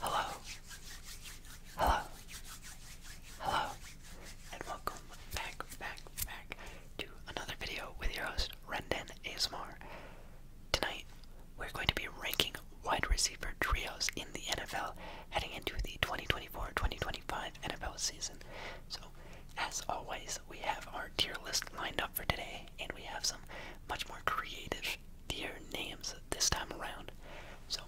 Hello, hello, hello, and welcome back, back, back to another video with your host, Rendon Asmar. Tonight, we're going to be ranking wide receiver trios in the NFL heading into the 2024-2025 NFL season. So, as always, we have our tier list lined up for today, and we have some much more creative their names this time around. So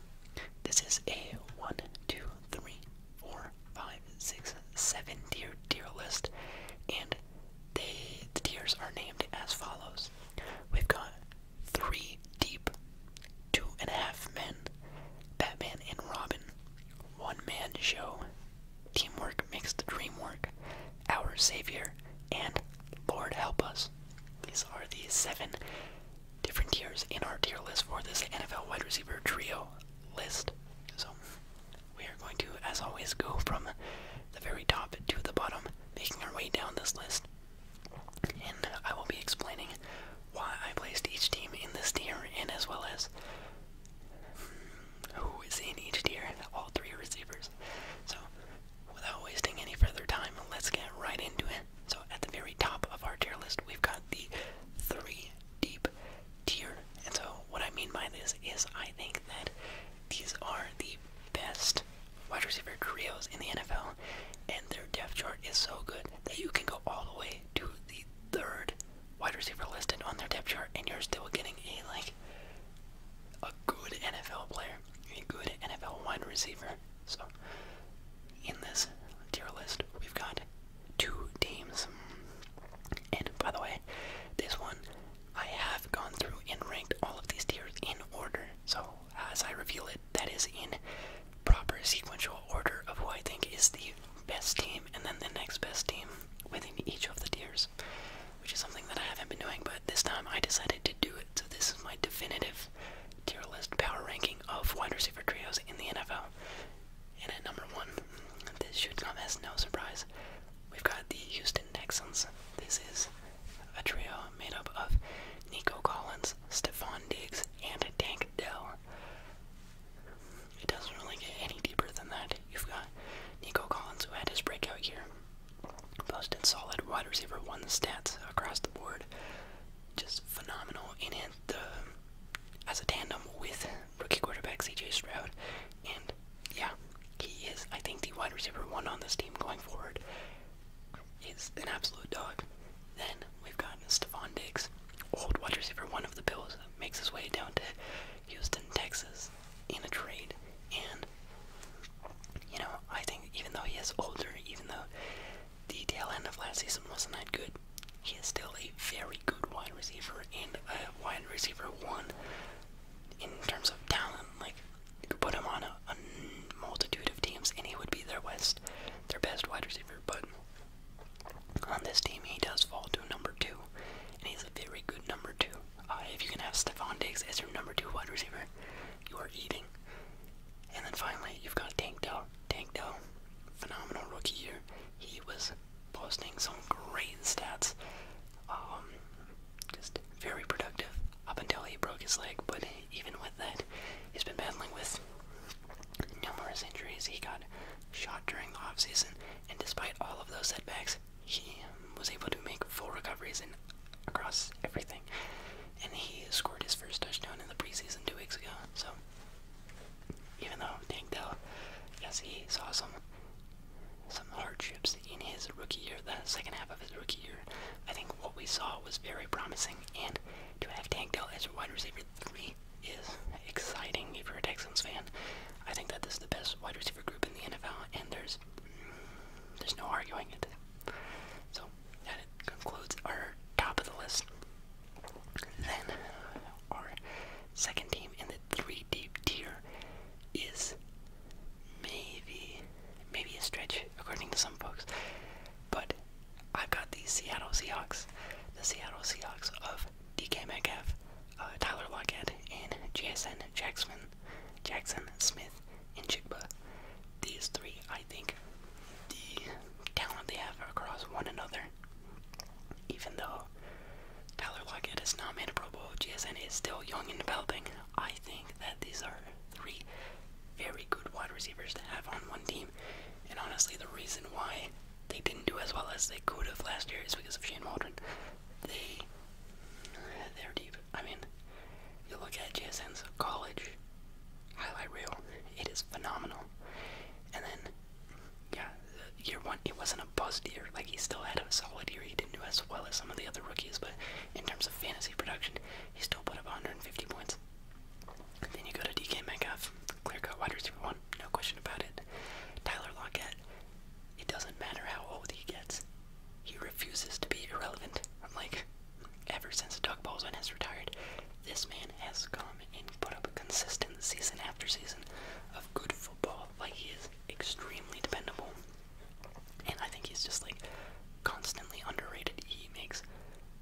this is a one, two, three, four, five, six, seven tier tier list, and they the tiers are named as follows. We've got three deep, two and a half men, Batman and Robin, one man show, teamwork makes the dream work, our Savior, and Lord help us. These are the seven different tiers in our tier list for this NFL wide receiver trio list. So we are going to, as always, go from the very top to the bottom, making our way down this list. And I will be explaining why I placed each team in this tier, and as well as hmm, who is in each tier, all three receivers. So without wasting any further time, let's get right into it. So, at the very top of our tier list, we've got the three deep tier. And so, what I mean by this is I think that these are the best wide receiver trios in the NFL, and their depth chart is so good that you can go all the way to the third wide receiver listed on their depth chart, and you're still getting a like a good NFL player, a good NFL wide receiver. So, in this tier list, we've got two teams. And by the way, this one I have gone through and ranked all of these tiers in order. So, as I reveal it, that is in proper sequential order of who I think is the best team and then the next best team within each of the tiers which is something that I haven't been doing, but this time I decided to do it. So this is my definitive tier list power ranking of wide receiver trios in the NFL. And at number one, this should come as no surprise. We've got the Houston Texans. This is a trio made up of Nico Collins, Stephon Diggs, and Tank Dell. It doesn't really get any deeper than that. You've got Nico Collins, who had his breakout year Posted solid wide receiver one stats across the board. Just phenomenal in it the as a tandem with rookie quarterback CJ Stroud. And yeah, he is I think the wide receiver one on this team going forward. He's an absolute dog. Then we've got Stephon Diggs, old wide receiver one of the Bills, makes his way down to Houston, Texas in a trade. And you know, I think even though he is older, even though the tail end of last season wasn't that good, he is still a very good wide receiver and a wide receiver one in terms of talent. Like, you put him on a, multitude of teams and he would be their best, their best wide receiver. But on this team, he does fall to number two, and he's a very good number two. Uh, if you can have Stephon Diggs as your number two wide receiver, you are eating. And then finally, you've got Tanko. Tanko, phenomenal rookie year. He was posting some great stats. Um, just very productive up until he broke his leg. But even with that, he's been battling with numerous injuries. He got shot during the off season, and despite all of those setbacks, he was able to make full recoveries across everything. And he scored his first touchdown in the preseason two weeks ago. So, even though Tank Dell, yes, he saw some some hardships in his rookie year, the second half of his rookie year, I think what we saw was very promising. And to have Tank Dell as a wide receiver three is exciting if you're a Texans fan. I think that this is the best wide receiver group in the NFL, and there's there's no arguing it. So that concludes our top of the list. Then our second team in the three deep tier is maybe maybe a stretch according to some folks. But I've got the Seattle Seahawks. The Seattle Seahawks of DK Metcalf, uh, Tyler Lockett, and JSN Jackson Jackson, Smith, and Chigba. These three, I think, the talent they have across one another. Even though Tyler Lockett is not made a Pro Bowl, GSN is still young and developing. I think that these are three very good wide receivers to have on one team. And honestly, the reason why they didn't do as well as they could have last year is because of Shane Waldron. They, they're deep. I mean, you look at JSN's college highlight reel, it is phenomenal. And then, yeah, year one, it wasn't a buzz year. Like, he still had a solid year. He didn't do as well as some of the other rookies, but in terms of fantasy production, he still put up 150 points. then you go to DK Metcalf, clear cut wide receiver one, no question about it. Tyler Lockett, it doesn't matter how old he gets, he refuses to be irrelevant. I'm like, ever since Doug Baldwin has retired, this man has come and put up a consistent season after season of good football. Like, he is extremely dependable. And I think he's just like constantly underrated. He makes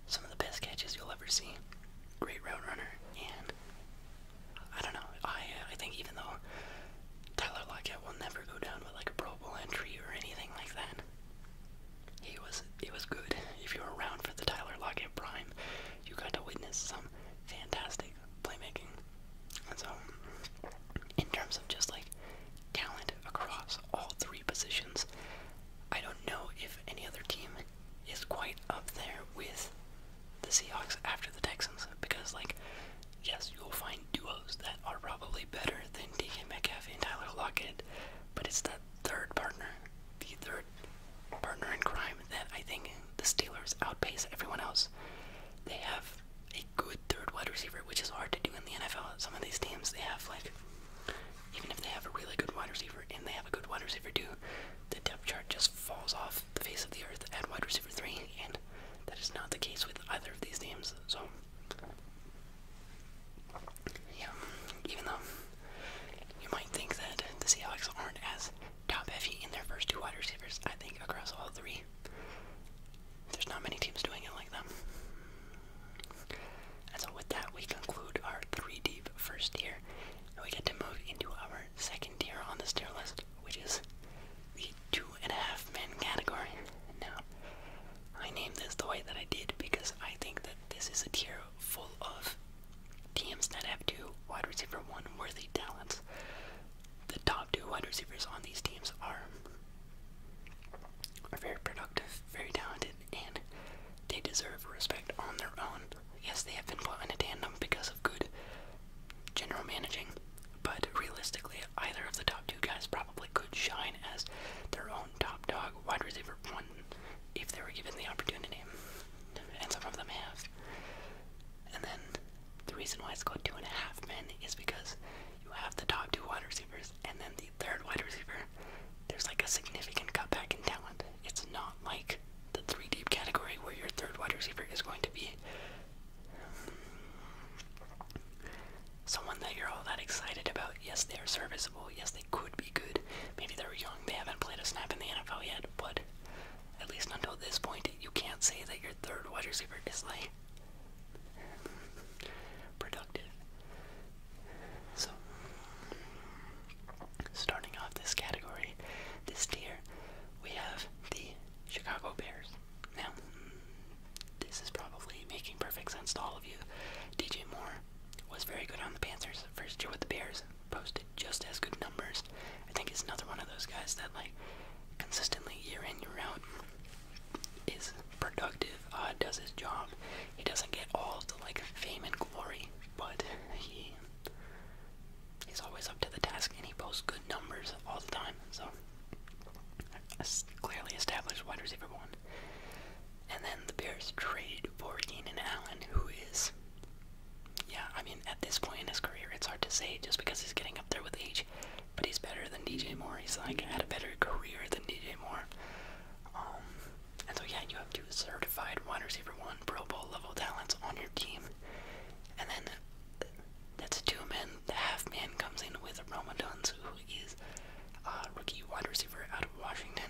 some of the best catches you'll ever see. Great route runner, and I don't know. I uh, I think even though Tyler Lockett will never go down with like a Pro Bowl entry or anything like that, he was it was good. If you were around for the Tyler Lockett prime, you got to witness some fantastic playmaking. so, in terms of just like talent across all three positions, I don't know if any other team is quite up there with the Seahawks after the Texans because like yes, you will find duos that are probably better than DK Metcalf and Tyler Lockett, but it's that third partner, the third partner in crime, that I think the Steelers outpace everyone else. They have a good third wide receiver, which is hard to do in the NFL. Some of these teams, they have like, even if they have a really good wide receiver and they have a good wide receiver too, the depth chart just falls off the face of the earth at wide receiver three, and that is not the case with either of these teams. So yeah, even though you might think that the Seahawks aren't as top heavy in their first two wide receivers, I think across all three, there's not many teams doing it like them. And so, with that, we conclude our three deep first tier, and we get to move into our second tier on the tier list, which is the two and a half men category. Now, I named this the way that I did because I think that this is a tier full of teams that have two wide receiver one worthy talents. The top two wide receivers on these teams are are very productive, very talented, and they deserve respect on their own. Yes, they have been put in a tandem because of good general managing, but realistically, either of the top two guys probably could shine as their own top dog wide receiver if they were given the opportunity. And some of them have. And then the reason why it's called two and a half men is because you have the top two wide receivers and then the third wide receiver. There's like a significant cutback in talent. It's not like the three deep category where your third wide receiver is going to be someone that you're all that excited about. Yes, they are serviceable. Yes, they could be good. Maybe they're young. They haven't played a snap in the NFL yet, but at least until this point, you can't say that your third wide receiver is like productive. So, starting off this category, this tier, we have the Chicago Bears this is probably making perfect sense to all of you. DJ Moore was very good on the Panthers first year with the Bears, posted just as good numbers. I think he's another one of those guys that like consistently year in year out is productive, uh, does his job. He doesn't get all the like fame and glory, but he he's always up to the task and he posts good numbers all the time. So clearly established wide receiver one down. And then the Bears trade for Keenan Allen, who is, yeah, I mean, at this point in his career, it's hard to say just because he's getting up there with age, but he's better than DJ Moore. He's like had a better career than DJ Moore. Um, and so yeah, you have two certified wide receiver one Pro Bowl level talents on your team, and then that's a two-man. The half-man comes in with Roma Duns, who who is a rookie wide receiver out of Washington.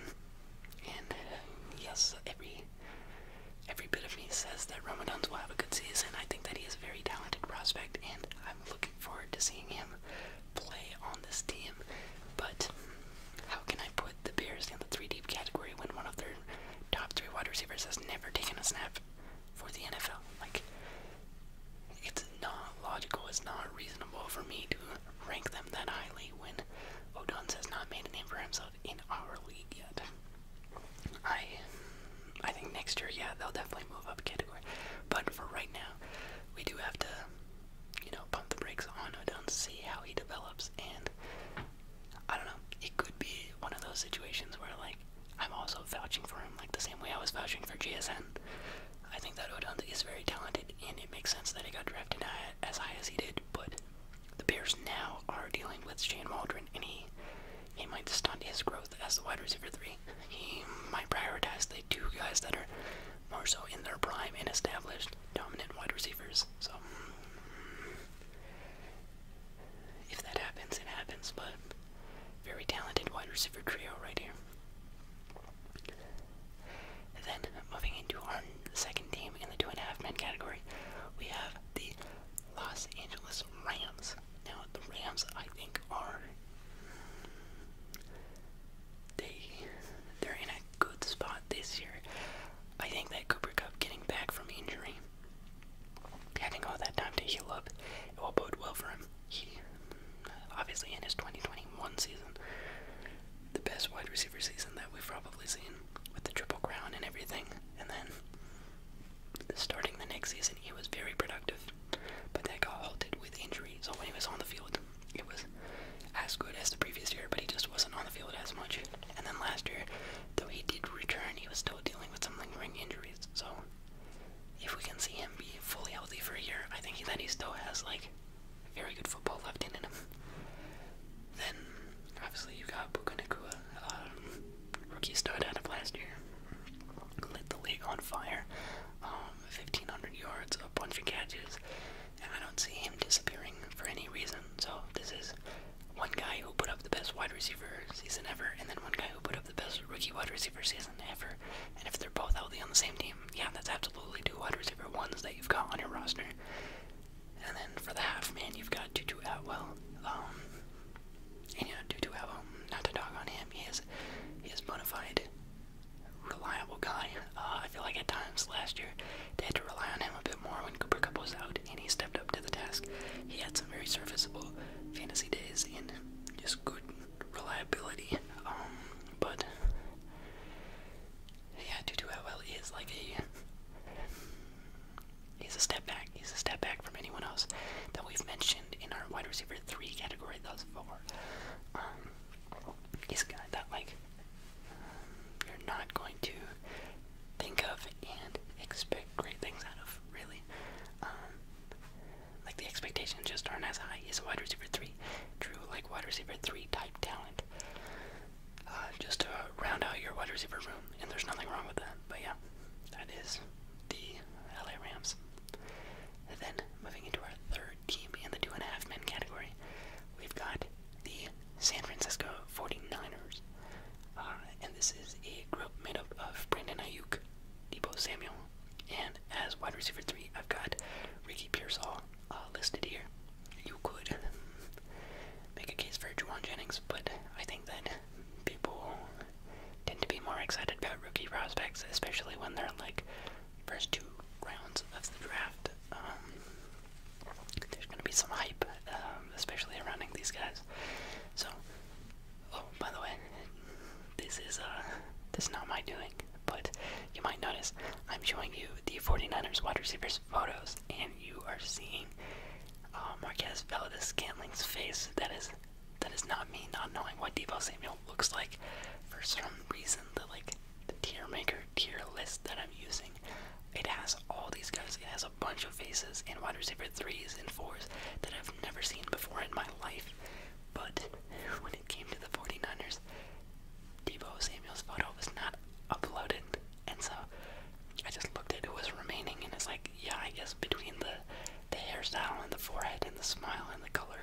And uh, yes, every every bit of me says that Ramadans will have a good season. I think that he is a very talented prospect, and I'm looking forward to seeing him play on this team. But how can I put the Bears in the three deep category when one of their top three wide receivers has never taken a snap for the NFL? Like it's not logical, it's not reasonable for me to rank them that highly when Odunze has not made a name for himself in our league yet. I I think next year, yeah, they'll definitely move up category. But for right now, we do have to, you know, pump the brakes on Odunze, see how he develops, and I don't know, it could be one of those situations where, like, I'm also vouching for him, like the same way I was vouching for GSN. I think that Odund is very talented, and it makes sense that he got drafted as high as he did. But the Bears now are dealing with Shane Waldron, and he he might stunt his growth as the wide receiver three. He might prioritize the two guys that are more so in their prime and established dominant wide receivers. So if that happens, it happens. But very talented wide receiver trio right here. Then, moving into our second team in the two and a half men category, we have the Los Angeles Rams. Now, the Rams, I think, are they they're in a good spot this year. I think that Cooper Cup getting back from injury, having all that time to heal up, it will bode well for him he obviously in his 2021 season, the best wide receiver season that we've probably seen with the triple crown and everything. And then starting the next season, he was very productive, but that got halted with injury. So when he was on the field, it was as good as the previous year, but he just wasn't on the field as much. And then last year, though he did return, he was still dealing with some lingering injuries. So if we can see him be fully healthy for a year, I think that he still has like very good football left in him. Then obviously you got Puka um, rookie stud out of last year, lit the league on fire. 1500 um, yards, a bunch of catches, and I don't see him disappearing for any reason. So this is one guy who put up the best wide receiver season ever, and then one guy who put up the best rookie wide receiver season ever. And if they're both healthy on the same team. Yeah, that's absolutely two wide receiver ones that you've got on your roster. And then for the half man, you've got Tutu Atwell. Um, and yeah, Tutu Atwell. Not to dog on him, he is he is bona fide, reliable guy. Uh, I feel like at times last year they had to rely on him a bit more when Cooper Cup was out, and he stepped up to the task. He had some very serviceable fantasy days and just good reliability. Um, but yeah, Tutu Atwell is like a he's a step back. He's a step back from anyone else that we've mentioned in our wide receiver three category thus far. Um, he's got that like you're not going to think of and expect great things out of, really. Um, like the expectations just aren't as high. as wide receiver three, true like wide receiver three type talent. Uh, just to round out your wide receiver room, and there's nothing wrong with that. But yeah, that is the LA Rams. And then moving into our third team in the two and a half men category, we've got the San Francisco 49ers. Uh, and this is a group made up of Brandon Ayuk, Debo Samuel, and as wide receiver three, I've got Ricky Pearsall uh, listed here. You could make a case for Juwan Jennings, but I think that people tend to be more excited about rookie prospects, especially when they're like first two rounds of the draft. Um, there's going to be some hype, um, especially around these guys. So, oh, by the way, this is uh this not my doing, but you might notice I'm showing you the 49ers wide receivers photos, and you are seeing uh, Marquez Valdez Scantling's face. That is that is not me not knowing what Debo Samuel looks like. For some reason, the like the tier maker tier list that I'm using, it has all these guys. It has a bunch of faces and wide receiver threes and fours that I've never seen before in my life. But it came to the 49ers, Debo Samuel's photo was not uploaded. And so I just looked at who was remaining and it's like, yeah, I guess between the the hairstyle and the forehead and the smile and the color,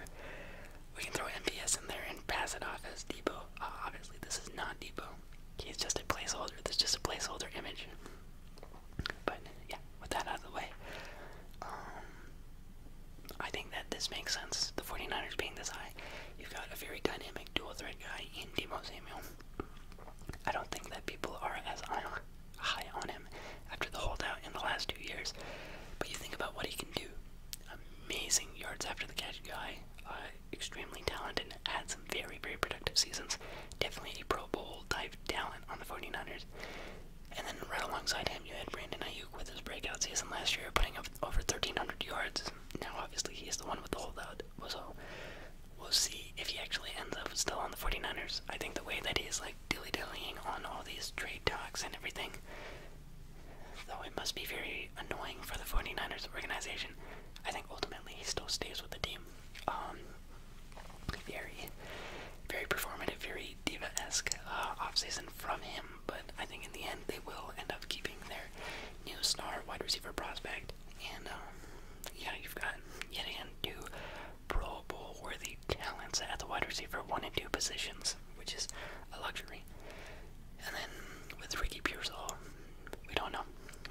we can throw MVS in there and pass it off as Debo. Uh, obviously, this is not Debo. He's just a placeholder. This is just a placeholder image. But yeah, with that out of the way, um, I think that this makes sense. The 49ers being this high, you've got a very dynamic dual threat guy in Debo Samuel. I don't think that people are as high on him after the holdout in the last two years. But you think about what he can do. Amazing yards after the catch guy, uh, extremely talented, had some very, very productive seasons. Definitely a Pro Bowl type talent on the 49ers. And then right alongside him, you had Brandon Ayuk with his breakout season last year, putting up over 1,300 yards. Now, obviously, he's the one with the holdout, so we'll see if he actually ends up still on the 49ers. I think the way that he's like dilly dillying on all these trade talks and everything, though it must be very annoying for the 49ers organization, I think ultimately he still stays with the team. Um, very, very performative, very diva esque uh, offseason from him but I think in the end they will end up keeping their new star wide receiver prospect. And um, yeah, you've got yet again two Pro Bowl worthy talents at the wide receiver one and two positions, which is a luxury. And then with Ricky Pearsall, we don't know.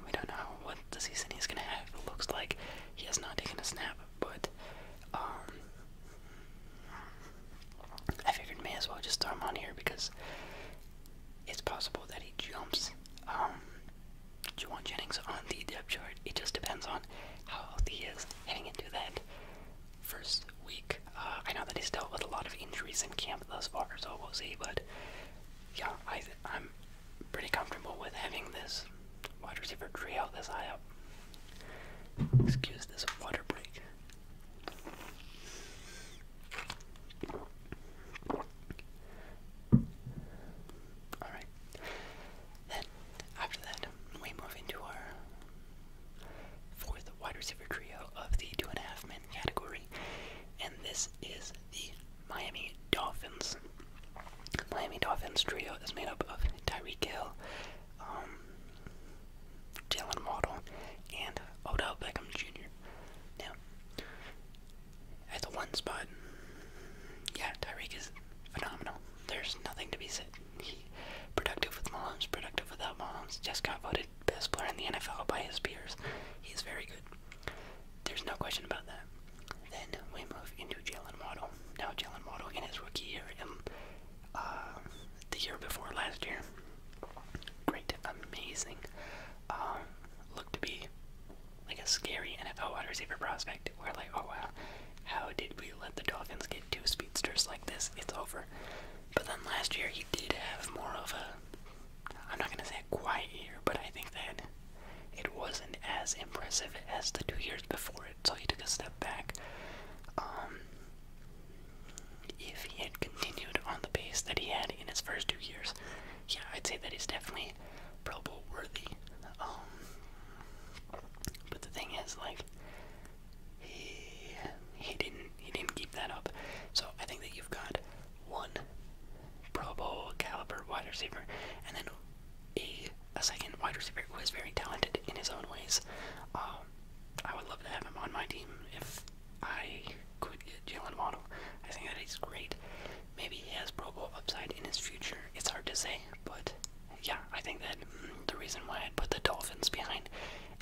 We don't know what the season he's gonna have. It looks like he has not taken a snap, but um, I figured may as well just throw him on here because it's possible that he jumps um Jennings on the depth chart. It just depends on how healthy he is heading into that first week. Uh, I know that he's dealt with a lot of injuries in camp thus far, so we'll see. But yeah, I, am pretty comfortable with having this wide receiver trio this high up. Excuse this water break. Alright. Then, after that, we move into our fourth wide receiver trio of the two and a half men category, and this is the Miami Dolphins. Miami Dolphins trio is made up of Tyreek Hill, um, Dylan Waddle, and Odell Beckham Jr. Now, at the one spot, yeah, Tyreek is phenomenal. There's nothing to be said. He productive with Mahomes, productive without Mahomes. Just got voted best player in the NFL by his peers. He's very good. There's no question about that. Then we move into Jalen Waddle. Now Jalen Waddle in his rookie year, and um, uh, the year before last year. Great, amazing. Um, looked to be like a scary NFL wide receiver prospect. We're like, oh wow, how did we let the Dolphins get two speedsters like this? It's over. But then last year he did have more of a, I'm not gonna say a quiet year, but I think that it wasn't as impressive as the two years before it. So he took a step back. Um, if he had continued on the pace that he had in his first two years, yeah, I'd say that he's definitely Pro Bowl worthy. Um, but the thing is, like, he he didn't he didn't keep that up. So I think that you've got one Pro Bowl caliber wide receiver, and then a second wide receiver who is very talented in his own ways. Um, I would love to have him on my team if I could get Jalen Waddle. I think that he's great. Maybe he has Pro Bowl upside in his future. It's hard to say, but yeah, I think that mm, the reason why I'd put the Dolphins behind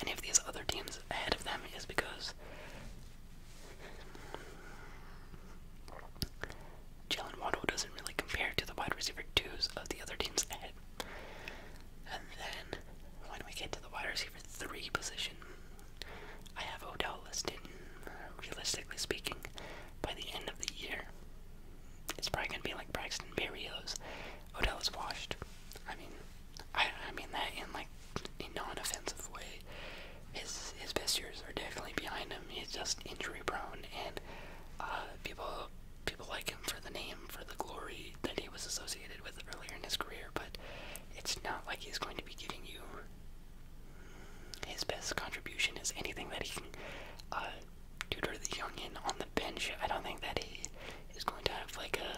any of these other teams ahead of them is because Jalen Waddle doesn't really compare to the wide receiver twos of the other teams ahead and then when we get to the wide receiver three position, I have Odell listed. Realistically speaking, by the end of the year, it's probably gonna be like Braxton Berrios. Odell is washed. I mean, I I mean that in like a non-offensive way. His his best years are definitely behind him. He's just injury prone, and uh, people people like him for the name, for the glory, that he was associated with earlier in his career, but it's not like he's going to be giving you his best contribution is anything that he can uh, do to the youngin on the bench. I don't think that he is going to have like a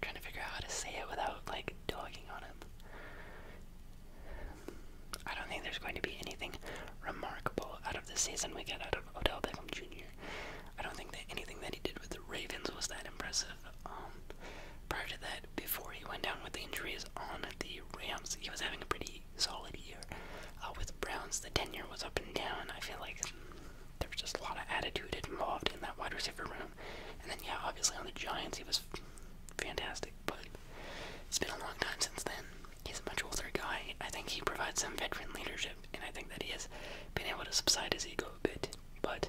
trying to figure out how to say it without like dogging on him. I don't think there's going to be anything remarkable out of the season we get out of Odell Beckham Jr. I don't think that anything that he did with the Ravens was that impressive. Um, prior to that, before he went down with the injuries on the Rams, he was having a pretty solid year. Uh, with the Browns, the tenure was up and down. I feel like there was just a lot of attitude involved in that wide receiver room. And then, yeah, obviously on the Giants, he was fantastic. But it's been a long time since then. He's a much older guy. I think he provides some veteran leadership, and I think that he has been able to subside his ego a bit. But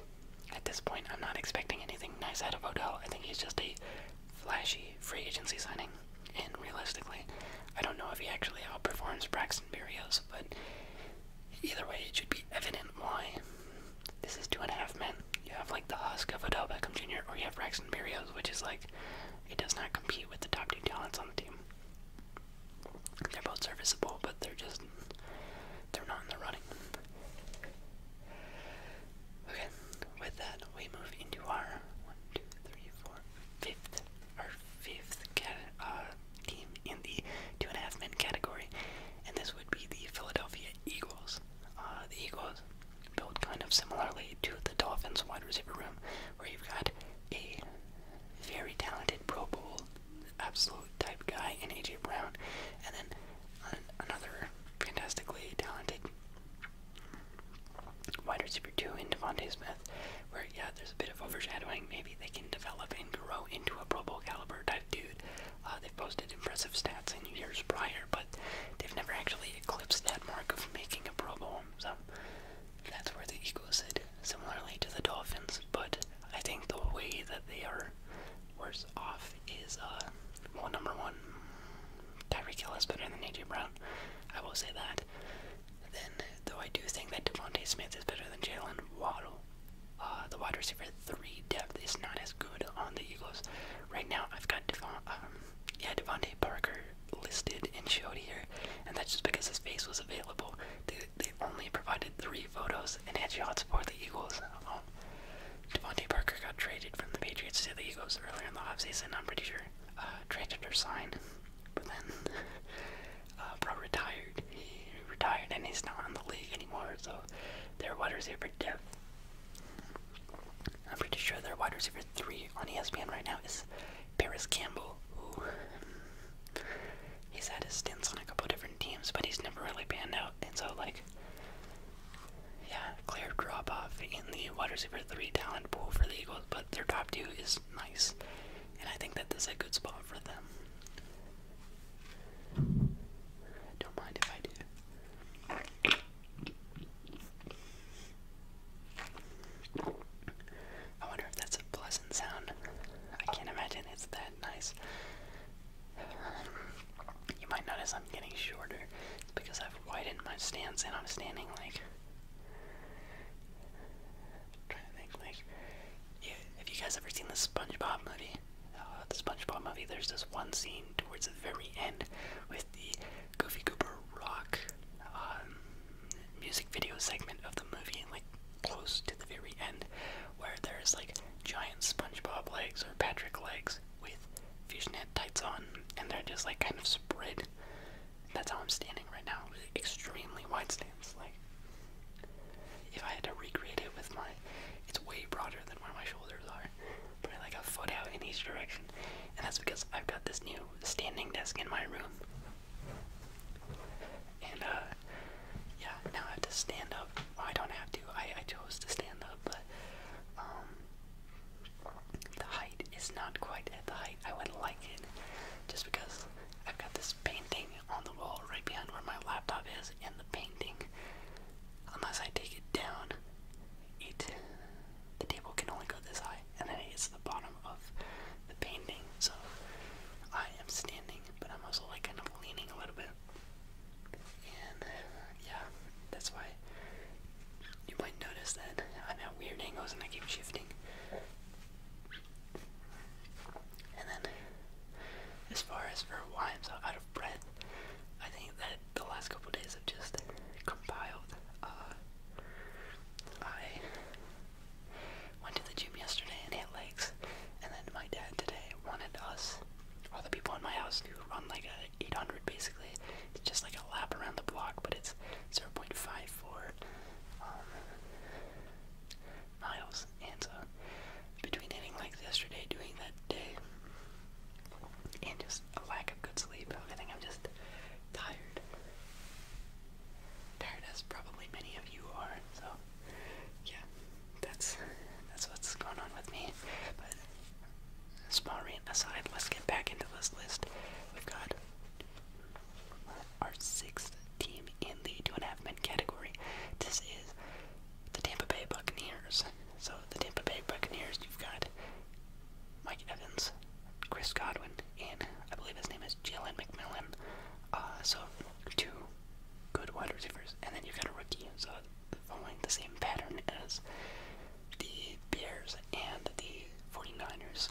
at this point, I'm not expecting anything nice out of Odell. I think he's just a flashy free agency signing, and realistically, I don't know if he actually outperforms Braxton Burrios. but either way, it should be evident why. This is two and a half men. You have like the husk of Odell Beckham Jr., or you have Braxton Burrios, which is like it does not compete with the top two talents on the team. They're both serviceable, but they're just they're not in the running. Okay, with that we move into our one, two, three, four, fifth, our fifth cat, uh, team in the two and a half men category, and this would be the Philadelphia Eagles. Uh, the Eagles built kind of similarly to the Dolphins wide receiver room, where you've got a very talented Pro Bowl, absolute type guy in AJ Brown, and then another fantastically talented wide receiver two in Devontae Smith, where yeah, there's a bit of overshadowing. Maybe they can develop and grow into a Pro Bowl caliber type dude. Uh, they've posted impressive stats in years prior, but they've never actually eclipsed that mark of making a Pro Bowl so that's where the Eagles sit, similarly to the Dolphins. But I think the way that they are worse off is, uh, well, number one, Tyreek Hill is better than A.J. Brown. I will say that. Then, though I do think that Devontae Smith is better than Jalen Waddle, uh, the wide receiver three depth is not as good on the Eagles. Right now, I've got Devon, um, yeah, Devontae Parker listed and showed here, and that's just because his face was available. They, they only provided three photos, and had shots for the Eagles. Um, Devontae Parker got traded from the Patriots to the Eagles earlier in the offseason, I'm pretty sure. Uh, traded or signed, but then uh, Bro retired. He retired and he's not in the league anymore, so their here for death. I'm pretty sure their wide receiver three on ESPN right now is Paris Campbell, hmm, he's had his stint on a couple different teams, but he's never really panned out. And so, like, yeah, clear drop off in the wide receiver three talent pool for the Eagles, but their top two is nice, and I think that this is a good spot for them. Don't mind if I do. I wonder if that's a pleasant sound. I can't imagine it's that nice. You might notice I'm getting shorter. because I've widened my stance and I'm standing like. i trying to think, like. have you guys ever seen the SpongeBob movie? Oh, the SpongeBob movie, there's this one scene towards the very end with the Goofy Goober rock. Um, music video segment of the movie, like close to the very end, where there's like giant SpongeBob legs or Patrick legs with fusion fishnet tights on, and they're just like kind of spread. That's how I'm standing right now. Extremely wide stance. Like, if I had to recreate it with my, it's way broader than where my shoulders are. putting like a foot out in each direction, and that's because I've got this new standing desk in my room. And uh, yeah, now I have to stand up. I don't have to. I I chose to stand up, but um, the height is not quite at the height I would like it just because I've got this painting on the wall right behind where my laptop is and the painting unless I take it down it the table can only go this high, and then it's the bottom of the painting. So I am standing, but I'm also like kind of leaning a little bit. And yeah, that's why you might notice that I'm at weird angles and I keep shifting. And then, as far as for why I'm so out of breath, I think that the last couple days I've just compiled uh, I went to the gym yesterday and hit legs, and then my dad today wanted us, all the people in my house, to run like a 800 basically. It's just like a lap around the block, but it's 0.54 um, miles. And so, between hitting legs yesterday, doing that day, and just a lack of good sleep, I think I'm just tired tired as probably many of you are. So yeah, that's that's what's going on with me. But small rant aside, let's get back into this list. We've got our sixth team in the two and a half men category. This is the Tampa Bay Buccaneers. So the Tampa Bay Buccaneers, you've got Mike Evans, Chris Godwin, and I believe his name is Jalen McMillan. Uh, so two good wide receivers, and then you've got a rookie. So following the same pattern as the Bears and the 49ers.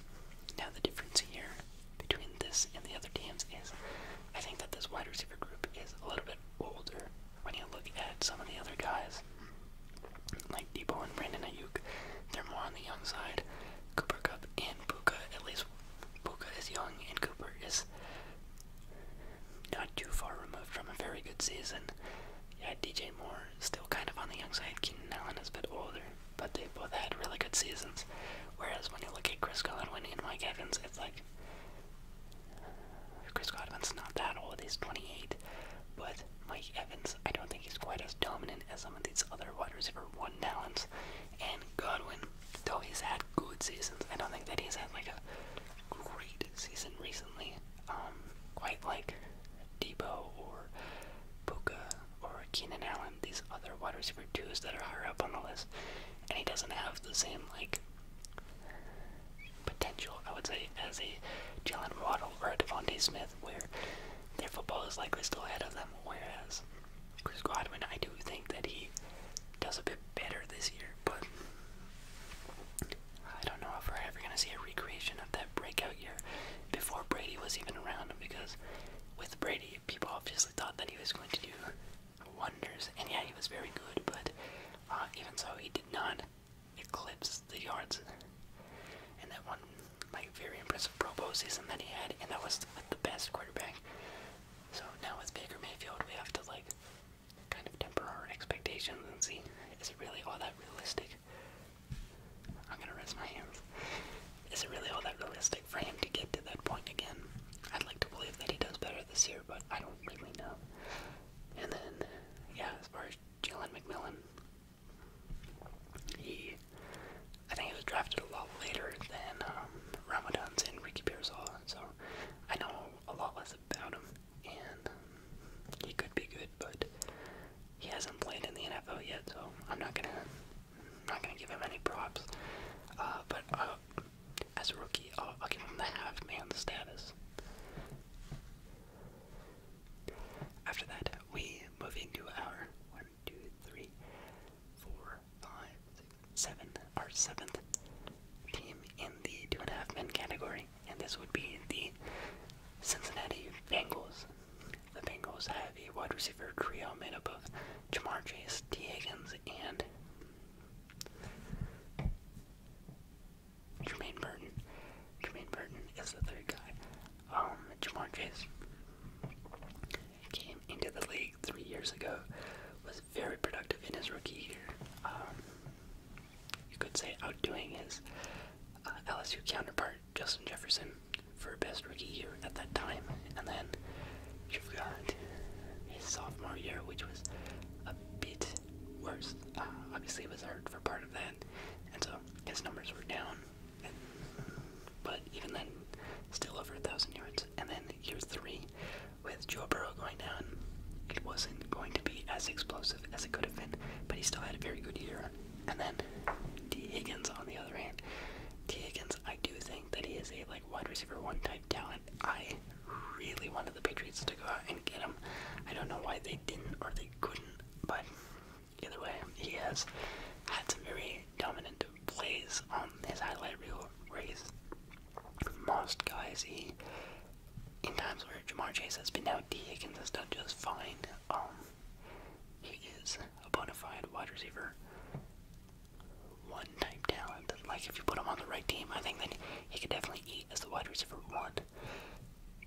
Now the difference here between this and the other teams is I think that this wide receiver group is a little bit older when you look at some of the other guys. Like Debo and Brandon Ayuk, they're more on the young side. Cooper Cup and Puka, at least Puka is young and Cooper is not too far removed from a very good season. Yeah, DJ Moore still kind of on the young side. Keenan Allen is a bit older, but they both had really good seasons. Whereas when you look at Chris Godwin and Mike Evans, it's like Chris Godwin's not that old. He's 28. But Mike Evans, I don't think he's quite as dominant as some of these other wide receiver one talents. And Godwin, though he's had good seasons, I don't think that he's had like a great season recently. Um, quite like Debo or Puka or Keenan Allen, these other wide receiver twos that are higher up on the list. And he doesn't have the same like potential, I would say, as a Jalen Waddle or a Devontae Smith, where their football is likely still ahead of them. Whereas Chris Godwin, I do think that he does a bit better this year, but I don't know if we're ever going to see a recreation of that breakout year before Brady was even around. Because with Brady, people obviously thought that he was going to do wonders, and yeah, he was very good, but uh, even so, he did not eclipse the yards. And that one like very impressive Pro Bowl season that he had, and that was the best quarterback. So now with Baker Mayfield, we have to like kind of temper our expectations and see is it really all that realistic? I'm gonna rest my hands. Is it really all that realistic for him to get to that point again? I'd like to believe that he does better this year, but I don't really know. And then, yeah, as far as Jalen McMillan, he, I think, he was drafted a lot later than um, Ramadan's and Ricky Pearsall, so I know a lot less about him, and um, he could be good, but he hasn't played in the NFL yet, so I'm not gonna, not gonna give him any props. Uh, but uh, as a rookie, I'll, I'll give him the half-man status. After that, we move into our one, two, three, four, five, six, seven. Our seventh team in the two and a half men category, and this would be the Cincinnati Bengals. The Bengals have a wide receiver trio made up of Jamar Chase, T. Higgins, and Jermaine Burton. Jermaine Burton is the third guy um, Jamar Chase came into the league three years ago, was very productive in his rookie year. Um, you could say outdoing his uh, LSU counterpart, Justin Jefferson, for best rookie year at that time. And then you've got his sophomore year, which was a bit worse. Uh, obviously, he was hurt for part of that, and so his numbers were down. But even then, still over a thousand yards. And then year three, with Joe Burrow going down, it wasn't going to be as explosive as it could have been, but he still had a very good year. And then T. Higgins on the other hand. T. Higgins, I do think that he is a like wide receiver one type talent. I really wanted the Patriots to go out and get him. I don't know why they didn't or they couldn't, but Either way, he has had some very dominant plays on his highlight reel where most guys. He, in times where Jamar Chase has been out, D. Higgins has done just fine. Um, he is a bona fide wide receiver. One type talent. Like if you put him on the right team, I think then he can definitely eat as the wide receiver one.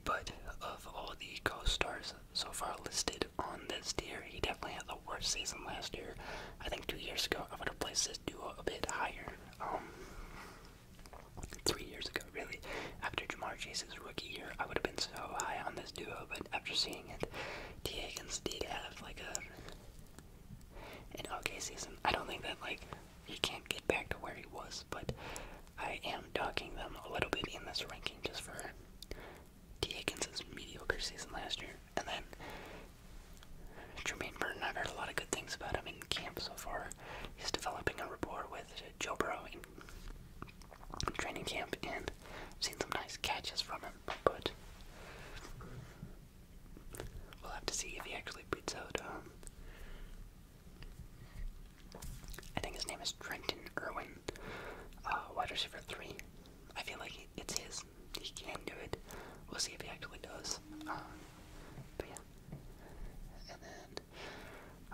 But of all the co-stars so far listed on this tier. He definitely had the worst season last year. I think two years ago I would have placed this duo a bit higher. Um, three years ago, really, after Jamar Chase's rookie year, I would have been so high on this duo. But after seeing it, T. Higgins did have like a an okay season. I don't think that like he can't get back to where he was, but I am docking them a little bit in this ranking just for T. Higgins' mediocre season last year. And then Jermaine Burton, I've heard a lot of good things about him in camp so far. He's developing a rapport with Joe Burrow in training camp, and I've seen some nice catches from him. But we'll have to see if he actually beats out. Um, I think his name is Trenton Irwin. Uh, wide receiver three. I feel like it's his. He can do it. We'll see if he actually does. Uh, but yeah. And then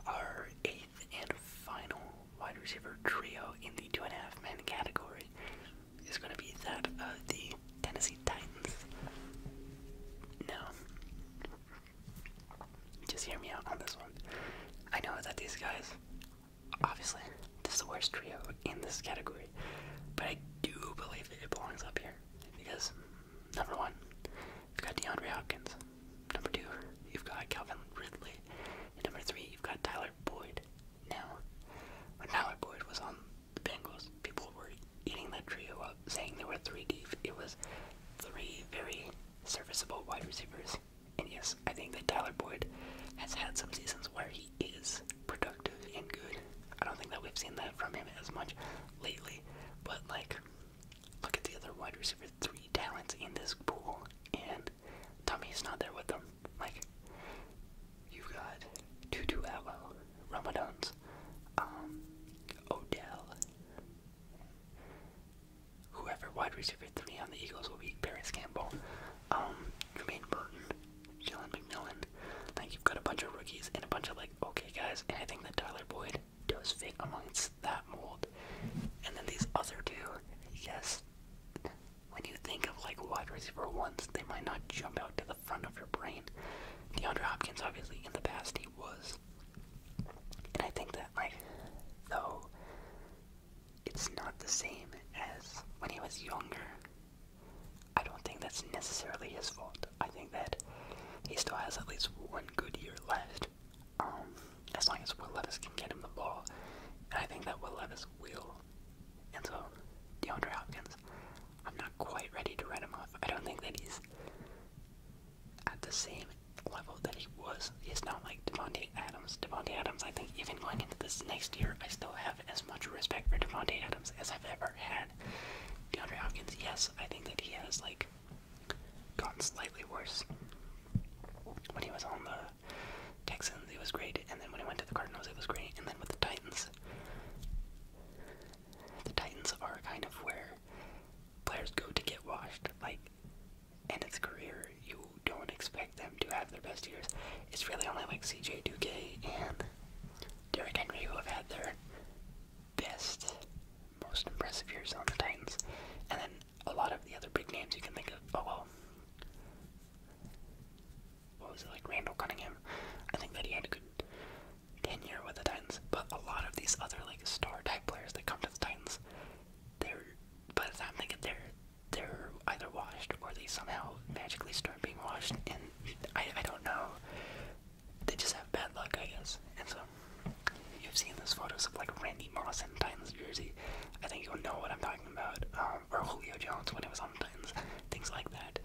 our eighth and final wide receiver trio in the two and a half man category is going to be that of the Tennessee Titans. Now, just hear me out on this one. I know that these guys obviously, this is the worst trio in this category, but I do believe that it belongs up here because number one, you've got DeAndre Hopkins, number two, you've got Calvin Ridley, and number three, you've got Tyler Boyd. Now, when Tyler Boyd was on the Bengals, people were eating that trio up, saying they were three deep. It was three very serviceable wide receivers and yes, I think that Tyler Boyd has had some seasons where he is productive and good. I don't think that we've seen that from him as much lately. But like look at the other wide receiver three talents in this pool and is not there with them. Like you've got Tutu Allo, Ramadans, um, Odell, whoever wide receiver three on the Eagles will be Paris Campbell, um, Jermaine Burton, Jalen McMillan. I think you've got a bunch of rookies and a bunch of like okay guys, and I think that Tyler Boyd does fit amongst that mold. And then these other two, yes, when you think of like wide receiver ones, they might not jump out to the front of your brain. DeAndre Hopkins, obviously, in the past he was, and I think that like though it's not the same as when he was younger. I don't think that's necessarily his fault. I think that he still has at least one good year left. Um, as long as Will Levis can get him the ball. And I think that Will Levis will. And so, DeAndre Hopkins, I'm not quite ready to write him off. I don't think that he's at the same level that he was is is not like Devontae Adams. Devontae Adams, I think, even going into this next year, I still have as much respect for Devontae Adams as I've ever had. DeAndre Hopkins, yes, I think that he has like gotten slightly worse. When he was on the Texans, it was great, and then when he went to the Cardinals, it was great, and then with the Titans, the Titans are kind of where players go to get washed. Like and its career, you don't expect them to have their best years. It's really only like CJ Duque and Derek Henry who have had their best, most impressive years on the Titans. And then a lot of the other big names you can think of. Oh, well. What was it like? Randall Cunningham. I think that he had a good tenure with the Titans. But a lot of these other, like, star type players that come to the Titans, they're, by the time they get there, they're either washed or they somehow magically start being washed, and I, I don't know. They just have bad luck, I guess. And so, you've seen those photos of like Randy Moss in Titans jersey. I think you'll know what I'm talking about. Um, or Julio Jones when he was on Titans, things like that.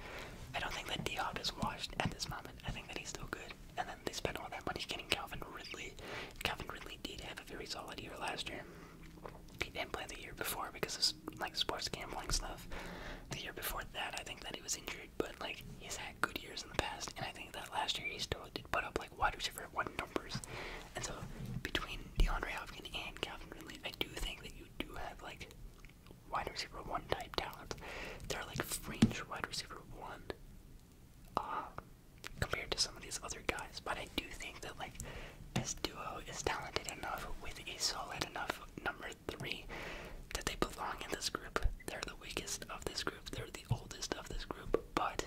I don't think that D is washed at this moment. I think that he's still good. And then they spent all that money getting Calvin Ridley. Calvin Ridley did have a very solid year last year he didn't play the year before because of like sports gambling stuff. The year before that, I think that he was injured, but like he's had good years in the past, and I think that last year he still did put up like wide receiver one numbers. And so between DeAndre Hopkins and Calvin Ridley, I do think that you do have like wide receiver one type talent. They're like fringe wide receiver one. Uh, compared to some of these other guys. But I do think that like this duo is talented enough with a solid enough number three that they belong in this group. They're the weakest of this group. They're the oldest of this group. But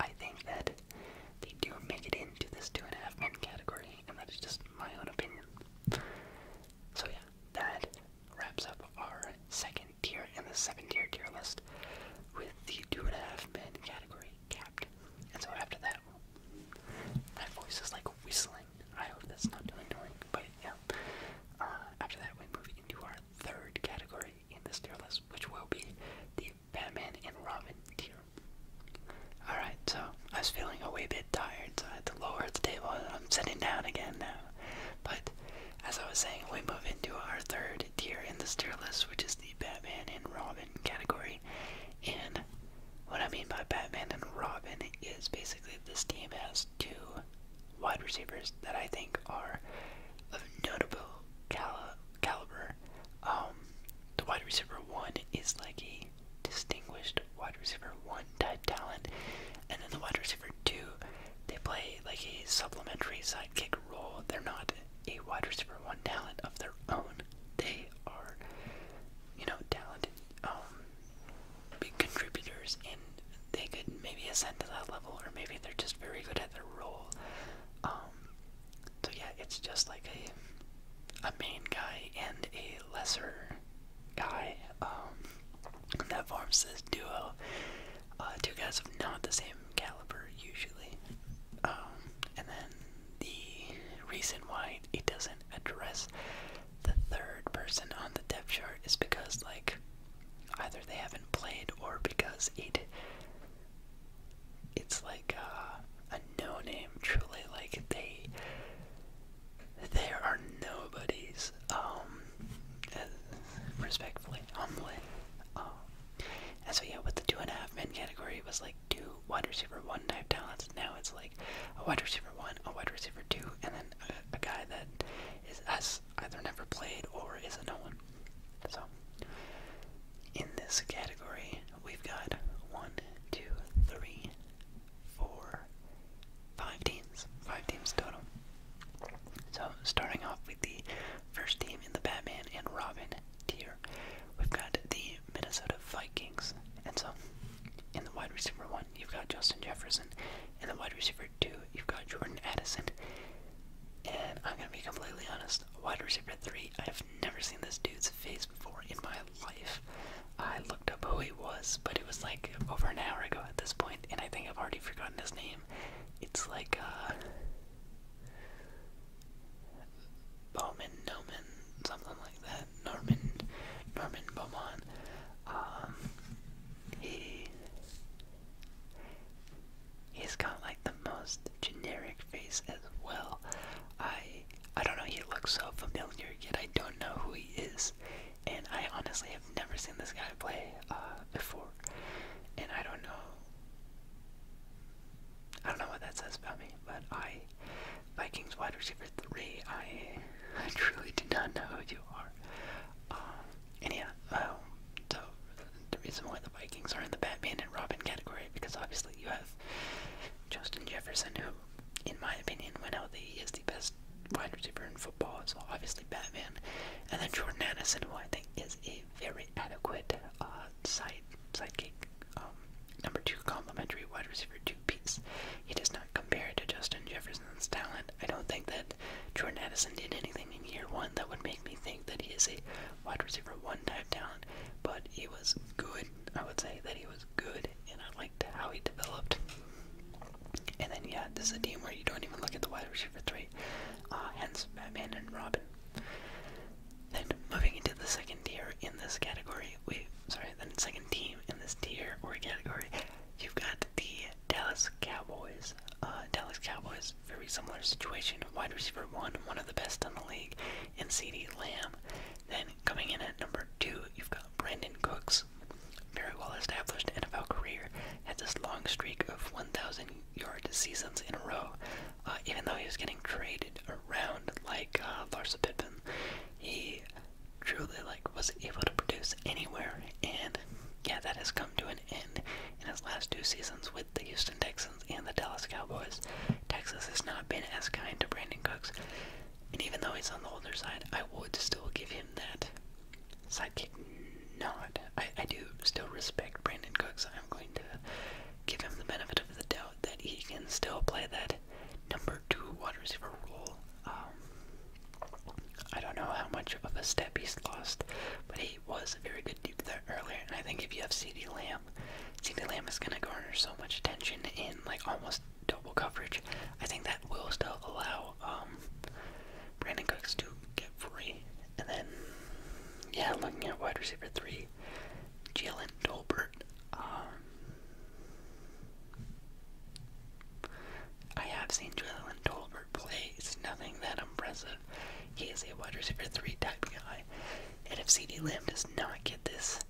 I think that they do make it into this two and a half men category, and that is just my own opinion. So yeah, that wraps up our second tier and the second tier tier list with the two and a half men category capped. And so after that, my voice is like whistling. I hope that's not too annoying, but yeah. Uh, after that, we move into our third category in this tier list, which will be the Batman and Robin tier. Alright, so I was feeling a wee bit tired, so I had to lower the table and I'm sitting down again now. But as I was saying, we move into our third tier in the tier list, which is the Batman and Robin category. And what I mean by Batman and Robin is basically this team has two wide receivers that I think are of notable caliber. Um, the wide receiver one is like a distinguished wide receiver one type talent, and then the wide receiver two, they play like a supplementary sidekick role. They're not a wide receiver one talent of their own. They are, you know, talented, um, big contributors, and they could maybe ascend to that level, or maybe they're just very good at their role. Um, so yeah, it's just like a a main guy and a lesser guy um, that forms this duo. Uh, two guys of not the same caliber usually. Um, and then the reason why it doesn't address the third person on the depth chart is because, like, either they haven't played or because it it's like a no name. Truly, like they there are nobodies. Um, respectfully, Um, and so yeah, with the two and a half men category, was like two wide receiver one type talents. Now it's like a wide receiver one, a wide receiver two, and then a, guy that is us either never played or is a no one. So in this category, we've got one, two, three, four, five teams. Five teams total. So starting off with the first team in the Batman and Robin tier, we've got the Minnesota Vikings. And so in the wide receiver one, you've got Justin Jefferson. In the wide receiver two, you've got Jordan Addison. And I'm going to be completely honest, wide receiver three, I have never seen this dude's face before in my life. I looked up who he was, but it was like over an hour ago at this point, and I think I've already forgotten his name. It's like, uh, Bowman, Noman, something like that. Norman, Norman Beaumont. Um, he he's got like the most generic face as well. I I don't know. He looks so familiar, yet I don't know who he is, and I honestly have never seen this guy play uh, before, and I don't know. I don't know what that says about me, but I, Vikings wide receiver three, I, I truly do not know who you are. Um, and yeah, um, so the reason why the Vikings are in the Batman and Robin category because obviously you have Justin Jefferson, who, in my opinion, when healthy, is the best wide receiver in football. So obviously Batman, and then Jordan Addison, who I think is a very adequate uh, side sidekick. Um, number two, complimentary wide receiver two piece. He does not compare to Justin Jefferson's talent. I don't think that Jordan Addison did anything in year one that would make me think that he is a wide receiver one type talent, but he was good. I would say that he was good, and I liked how he developed. And then, yeah, this is a team where you don't even look at the wide receiver three, uh, hence Batman and Robin. Then moving into the second tier in this category, we sorry, then second team in this tier or category, you've got the Dallas Cowboys. Uh, Dallas Cowboys, very similar situation. Wide receiver one, one of the best in the league, in CD Lamb. Then coming in at number two, you've got Brandon Cooks, very well established NFL career, had this long streak of 1,000 yard seasons in a row. Uh, even though he was getting traded around like uh, Larsa Pippen, he truly like was able to produce anywhere, and yeah, that has come to an end in his last two seasons with the Houston Texans and the Dallas Cowboys. Texas has not been as kind to Brandon Cooks, and even though he's on the older side, I would still give him that sidekick nod. I, I do still respect Brandon Cooks. I'm going to give him the benefit of the doubt that he can still play that number two wide receiver role. Um, I don't know how much of a step he's lost, but he was a very good dude there earlier. And I think if you have CD Lamb, CD Lamb is going to garner so much attention in like almost double coverage. I think that will still allow um, Brandon Cooks to get free. And then, yeah, looking at wide receiver three, Ridley, Jalen Tolbert. Um, I have seen Jalen Tolbert play. It's nothing that impressive. He is a wide receiver three type guy. And if CD Lamb does not get this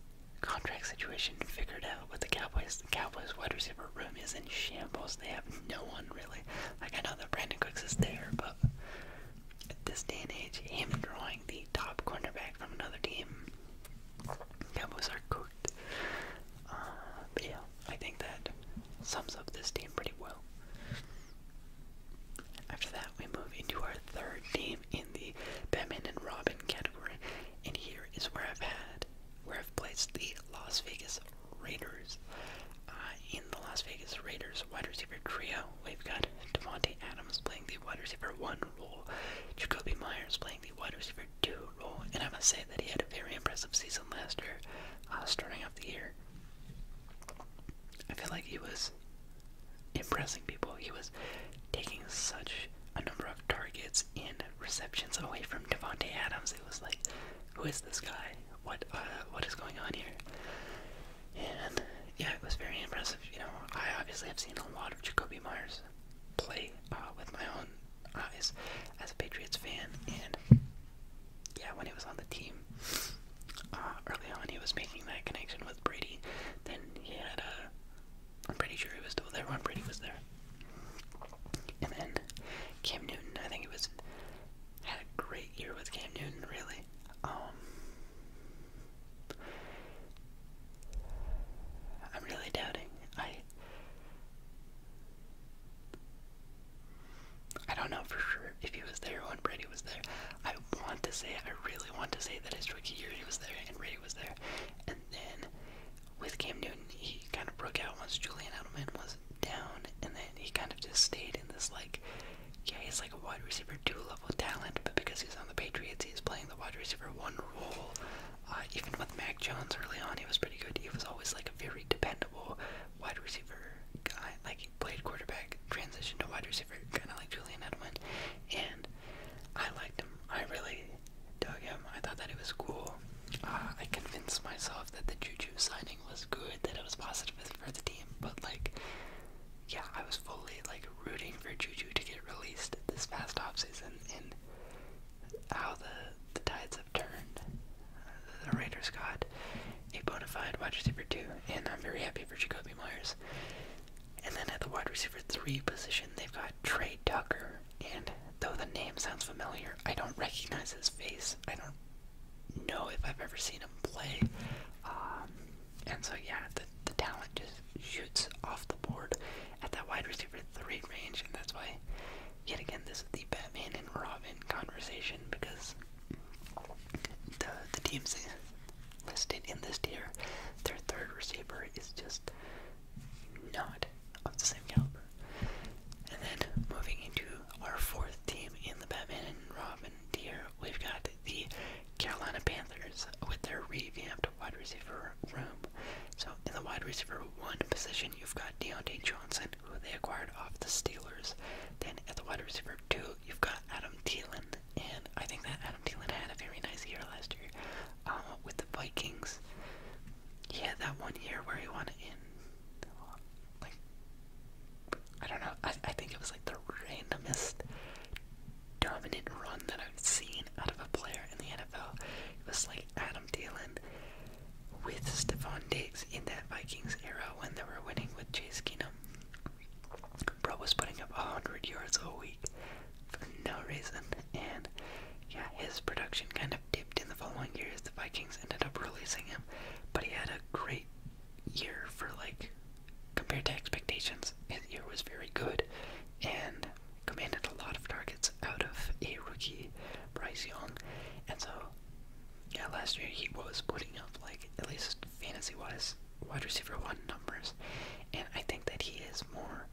contract situation figured out with the Cowboys, the Cowboys wide receiver room is in shambles. They have no one really. Like I know that Brandon Cooks is there, but at this day and age, him drawing the top cornerback from another team, Cowboys are cooked. Uh, but yeah, I think that sums up this team pretty well. After that, we move into our third team in the Batman and Robin category, and here is where I've had, where I've placed the Las Vegas Raiders. Uh, in the Las Vegas Raiders wide receiver trio, we've got Devonte Adams playing the wide receiver one role, Jacoby Myers playing the wide receiver two role, and I must say that he had a very impressive season last year, uh, starting off the year. I feel like he was impressing people. He was taking such a number of targets and receptions away from Devonte Adams. It was like, who is this guy? What uh, what is going on here? And yeah, it was very impressive. You know, I obviously have seen a lot of Jacoby Myers play uh, with my own eyes as a Patriots fan, and yeah, when he was on the team uh, early on, he was making that connection with Brady. Then he had a. I'm pretty sure he was still there when Brady was there. And then Cam Newton, I think it was had a great year with Cam Newton, really. Um, I'm really doubting. I I don't know for sure if he was there when Brady was there. I want to say, I really want to say that his rookie year he was there and Brady was there. And then with Cam Newton, he kind of broke out once Julian Edelman was down, and then he kind of just stayed in this like yeah, he's like a wide receiver two level talent, but because he's on the Patriots, he's playing the wide receiver one role. Uh, even with Mac Jones early on, he was pretty good. He was always like a very dependable wide receiver guy. Like he played quarterback, transitioned to wide receiver, kind of like Julian Edelman. And I liked him. I really dug him. I thought that it was cool. Uh, I convinced myself that the Juju signing was good, that it was positive for the team. But like, yeah, I was fully like rooting for Juju to get released this past offseason and how the the tides have turned. the Raiders got a bona fide wide receiver two, and I'm very happy for Jacoby Myers. And then at the wide receiver three position, they've got Trey Tucker. And though the name sounds familiar, I don't recognize his face. I don't know if I've ever seen him play. Um, and so, yeah, the, the talent just shoots off the board at that wide receiver three range, and that's why, yet again, this is the Batman and Robin conversation because the, the teams listed in this tier, their third receiver is just not of the same caliber. And then moving into our fourth team in the Batman and Robin tier, we've got the Carolina Panthers with their revamped wide receiver room. So in the wide receiver one position, you've got Deontay Johnson, who they acquired off the Steelers. Then at the wide receiver two, you've got Adam Thielen, and I think that Adam Thielen had a very nice year last year um, with the Vikings. He had that one year where he wanted in like I don't know. I I think it was like the randomest dominant run that I've seen out of a player in the NFL. It was like Adam Thielen with Stephon Diggs in that Vikings era when they were winning with Chase Keenum. Bro was putting up 100 yards a week for no reason, and yeah, his production kind of dipped in the following years. The Vikings ended up releasing him, but he had a great year for like compared to expectations, his year was very good and commanded a lot of targets out of a rookie, Bryce Young. And so, yeah, last year he was putting up, like, at least fantasy wise, wide receiver one numbers. And I think that he is more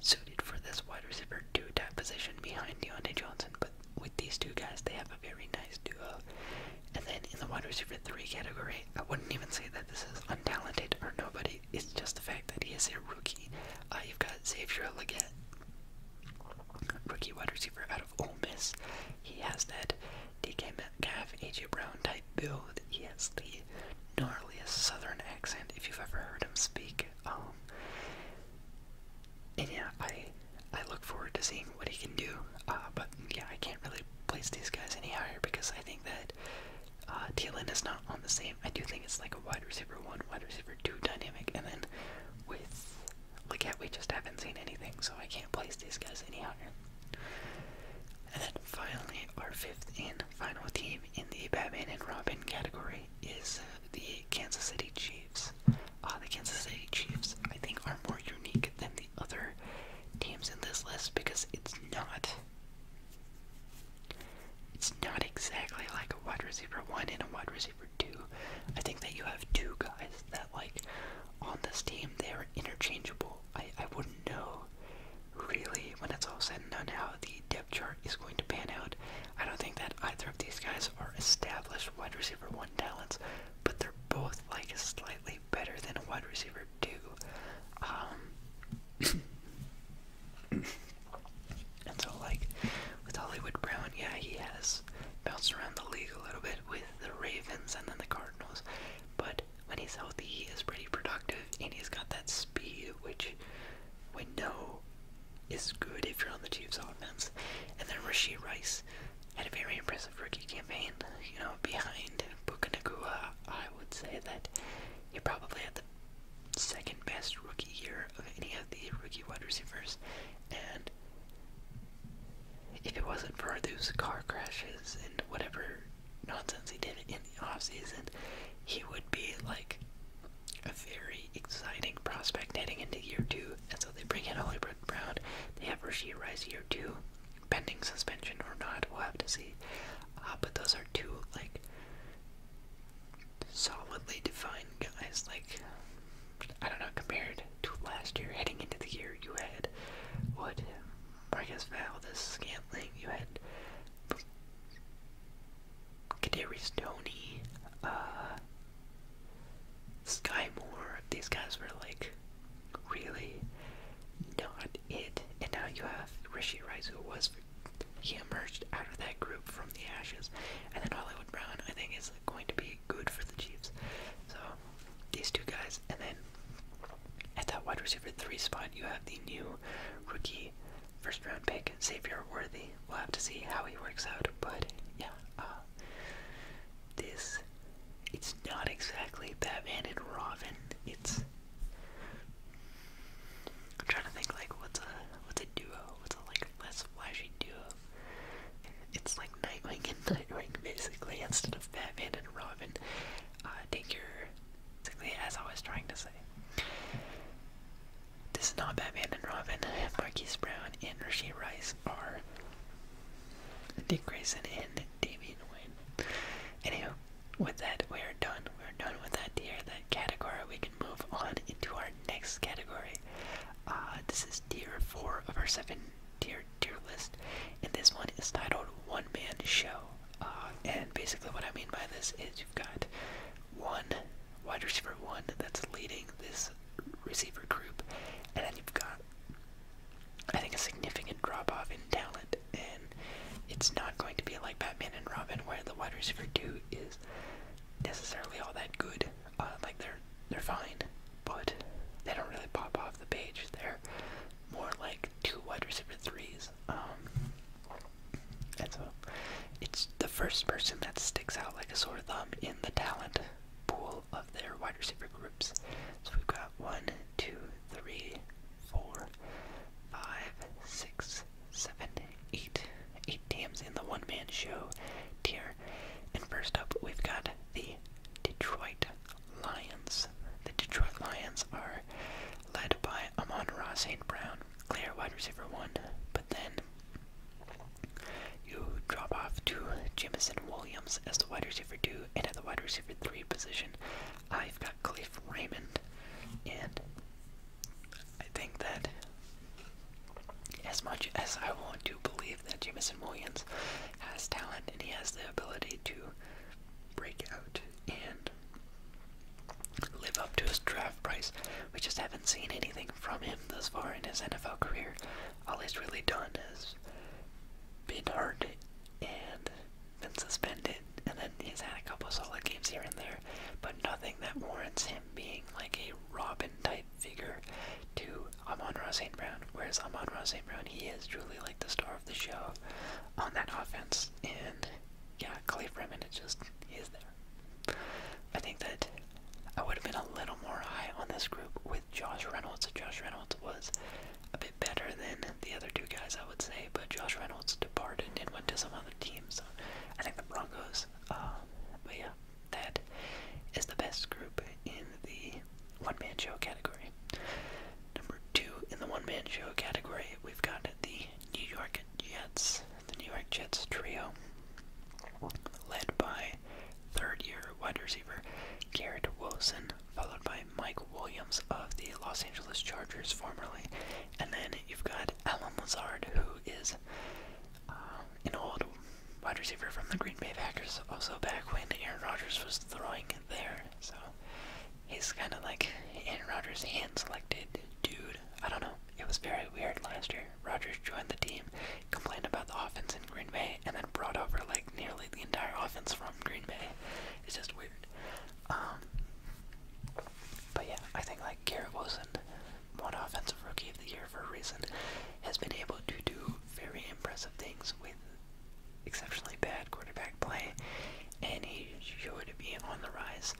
suited for this wide receiver two type position behind Deontay Johnson. But with these two guys, they have a very nice duo. And then in the wide receiver 3 category. I wouldn't even say that this is untalented or nobody. It's just the fact that he is a rookie. Uh, you've got Xavier Leggett, rookie wide receiver out of Ole Miss. He has that DK Metcalf, AJ Brown type build. He has the gnarliest southern accent if you've ever heard him speak. Um, and yeah, I I look forward to seeing what he can do. Uh, but yeah, I can't really place these guys any higher because I think that uh, is not on the same. I do think it's like a wide receiver one, wide receiver two dynamic, and then with Leggett, we just haven't seen anything, so I can't place these guys any higher. And then finally, our fifth and final team in the Batman and Robin category is the Kansas City Chiefs. Uh, the Kansas City Chiefs, I think, are more unique than the other teams in this list because it's not it's not exactly like a wide receiver one and a wide receiver two. I think that you have two guys that like on this team they are interchangeable. I, I wouldn't know really when it's all said and done how the depth chart is going to pan out. I don't think that either of these guys are established wide receiver one talents, but they're both like slightly better than a wide receiver do. Um, and so, like, with Hollywood Brown, yeah, he has bounced around the league a little bit with the Ravens and then the Cardinals, but when he's healthy, he is pretty productive and he's got that speed, which we know is good if you're on the Chiefs offense. And then Rasheed Rice had a very impressive rookie campaign, you know, behind Puka I would say that he probably had the second best rookie year of any of the rookie wide receivers. And if it wasn't for those car crashes and whatever nonsense he did in the offseason, he would be like a very exciting prospect heading into year two. And so they bring in Hollywood Brown. They have Rasheed Rice year two pending suspension or not, we'll have to see. Uh, but those are two like solidly defined guys. Like I don't know, compared to last year, heading into the year, you had what Marcus Valdez Scantling, you had Kaderi Stoney, uh, Sky Moore. These guys were like really not it. And now you have Rishi Rice, who was he emerged out of that group from the ashes, and then Hollywood Brown, I think, is going to be good for the Chiefs. So these two guys, and then at that wide receiver three spot, you have the new rookie first round pick, Xavier Worthy. We'll have to see how he works out, but yeah, uh, this it's not exactly that man and Robin. It's I'm trying to think like what's a what's a duo? What's a like less flashy duo? It's like Nightwing and Nightwing basically instead of Batman and Robin. Uh, take your basically as I was trying to say. This is not Batman and Robin. Marquise Brown and Rasheed Rice are Dick Grayson and Damian Wayne. Anywho, with that, we are done. We are done with that tier, that category. We can move on into our next category. Uh, this is tier four of our seven tier tier list, and this one is titled "One Man Show." Uh, and basically, what I mean by this is you've got one wide receiver one that's leading this receiver group, and then you've got I think a significant drop off in talent and it's not going to be like Batman and Robin, where the wide receiver two is necessarily all that good. Uh, like they're they're fine, but they don't really pop off the page. They're more like two wide receiver threes. Um, and so it's the first person that sticks out like a sore thumb in the talent pool of their wide receiver groups. So we've got one, two, three, four, five, six, seven, eight. Eight teams in the one man show tier. And first up, we've got the Detroit Lions. The Detroit Lions are led by Amon Ross St. Brown, clear wide receiver one, but then you drop off to Jamison Williams as the wide receiver two and at the wide receiver three position. I've got Cliff Raymond, and I think that as much as I want to believe that Jamison Williams has talent and he has the ability to break out and live up to his draft price, we just haven't seen anything from him thus far in his NFL career. All he's really done is been hard and been suspended, and then he's had a couple solid games here and there, but nothing that warrants him being like a Robin type figure to Amon Ross St. Brown. Whereas Amon Ross St. Brown, he is truly like the star of the show on that offense. And yeah, Clay Freeman is just, is there. I think that I would have been a little more high on this group with Josh Reynolds. Josh Reynolds was a bit better than the other two guys, I would say. But Josh Reynolds departed and went to some other team, so I think the Broncos. Uh, but yeah, that is the best group in the one-man show category. Number two in the one-man show category, we've got the New York Jets, the New York Jets trio, led by third-year wide receiver Garrett Wilson, followed by by Mike Williams of the Los Angeles Chargers, formerly. And then you've got Alan Lazard, who is uh, an old wide receiver from the Green Bay Packers, also back when Aaron Rodgers was throwing there. So he's kind of like Aaron Rodgers' hand selected dude. I don't know. It was very weird last year. Rodgers joined the team, complained about the offense in Green Bay, and then brought over like nearly the entire offense from Green Bay. It's just weird. Um, but yeah, I think like Garrett Wilson, one offensive rookie of the year for a reason, has been able to do very impressive things with exceptionally bad quarterback play, and he should be on the rise.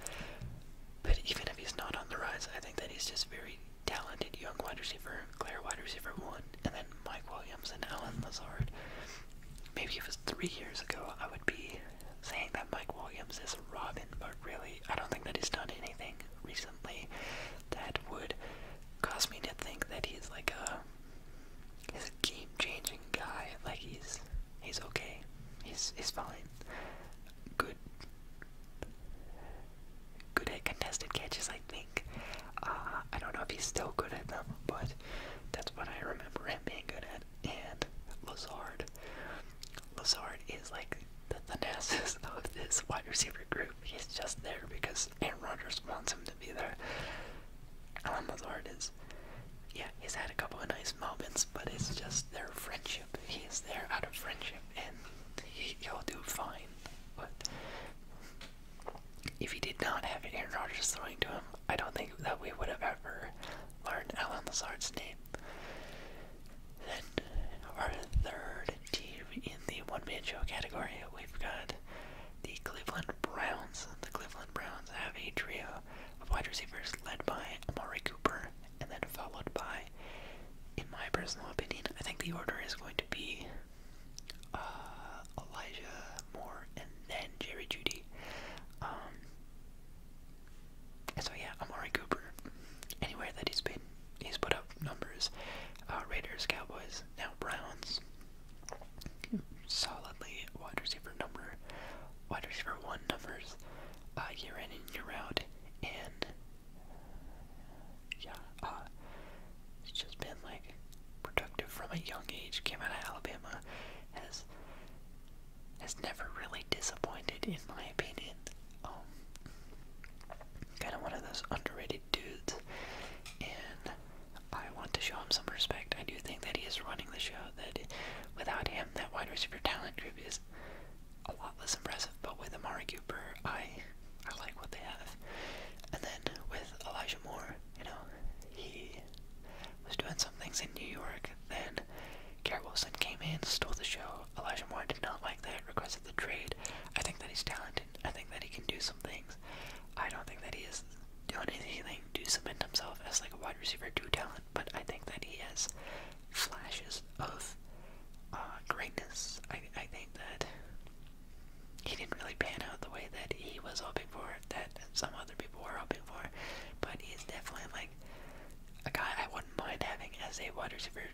But even if he's not on the rise, I think that he's just very talented young wide receiver, clear wide receiver one, and then Mike Williams and Alan Lazard. Maybe if it was three years ago, I would be saying that Mike Williams is Robin, but really, I don't think that he's done anything recently that would cause me to think that he's like a he's a game-changing guy. Like he's he's okay, he's he's fine. Good, good at contested catches, I think. Uh, I don't know if he's still good at them, but that's what I remember him being good that and Lazard. Lazard is like the thanasis of this wide receiver group. He's just there because Aaron Rodgers wants him to be there. Alan Lazard is, yeah, he's had a couple of nice moments, but it's just their friendship. He's there out of friendship, and he, he'll do fine. But if he did not have Aaron Rodgers throwing to him, I don't think that we would have ever learned Alan Lazard's name. Then our third team in the one-man show category, we've got the Cleveland Browns. The Cleveland Browns have a trio of wide receivers led by Amari Cooper, and then followed by, in my personal opinion, I think the order is going to be uh, Elijah Moore and then Jerry Judy. Um, so yeah, Amari Cooper, anywhere that he's been, he's put up numbers. Uh, Raiders, Cowboys, now Browns. Solidly wide receiver number, wide receiver one numbers, uh, year in and year out, and yeah, uh, it's just been like productive from a young age. Came out of Alabama, has has never really disappointed, in my opinion. Um, kind of one of those underrated dudes, and I want to show him some respect. I do think that he is running the show. That without him, that wide receiver talent group is a lot less impressive. But with Amari Cooper, I I like what they have, and then with Elijah Moore, you know, he was doing some things in New York. Then Garrett Wilson came in, stole the show. Elijah Moore did not like that, requested the trade. I think that he's talented. I think that he can do some things. I don't think that he is doing anything to cement himself as like a wide receiver two talent, but I think that he has flashes of uh, greatness. I, I think that he didn't really pan out the way that he was hoping for, that some other people were hoping for, but he's definitely like a guy I wouldn't mind having as a wide receiver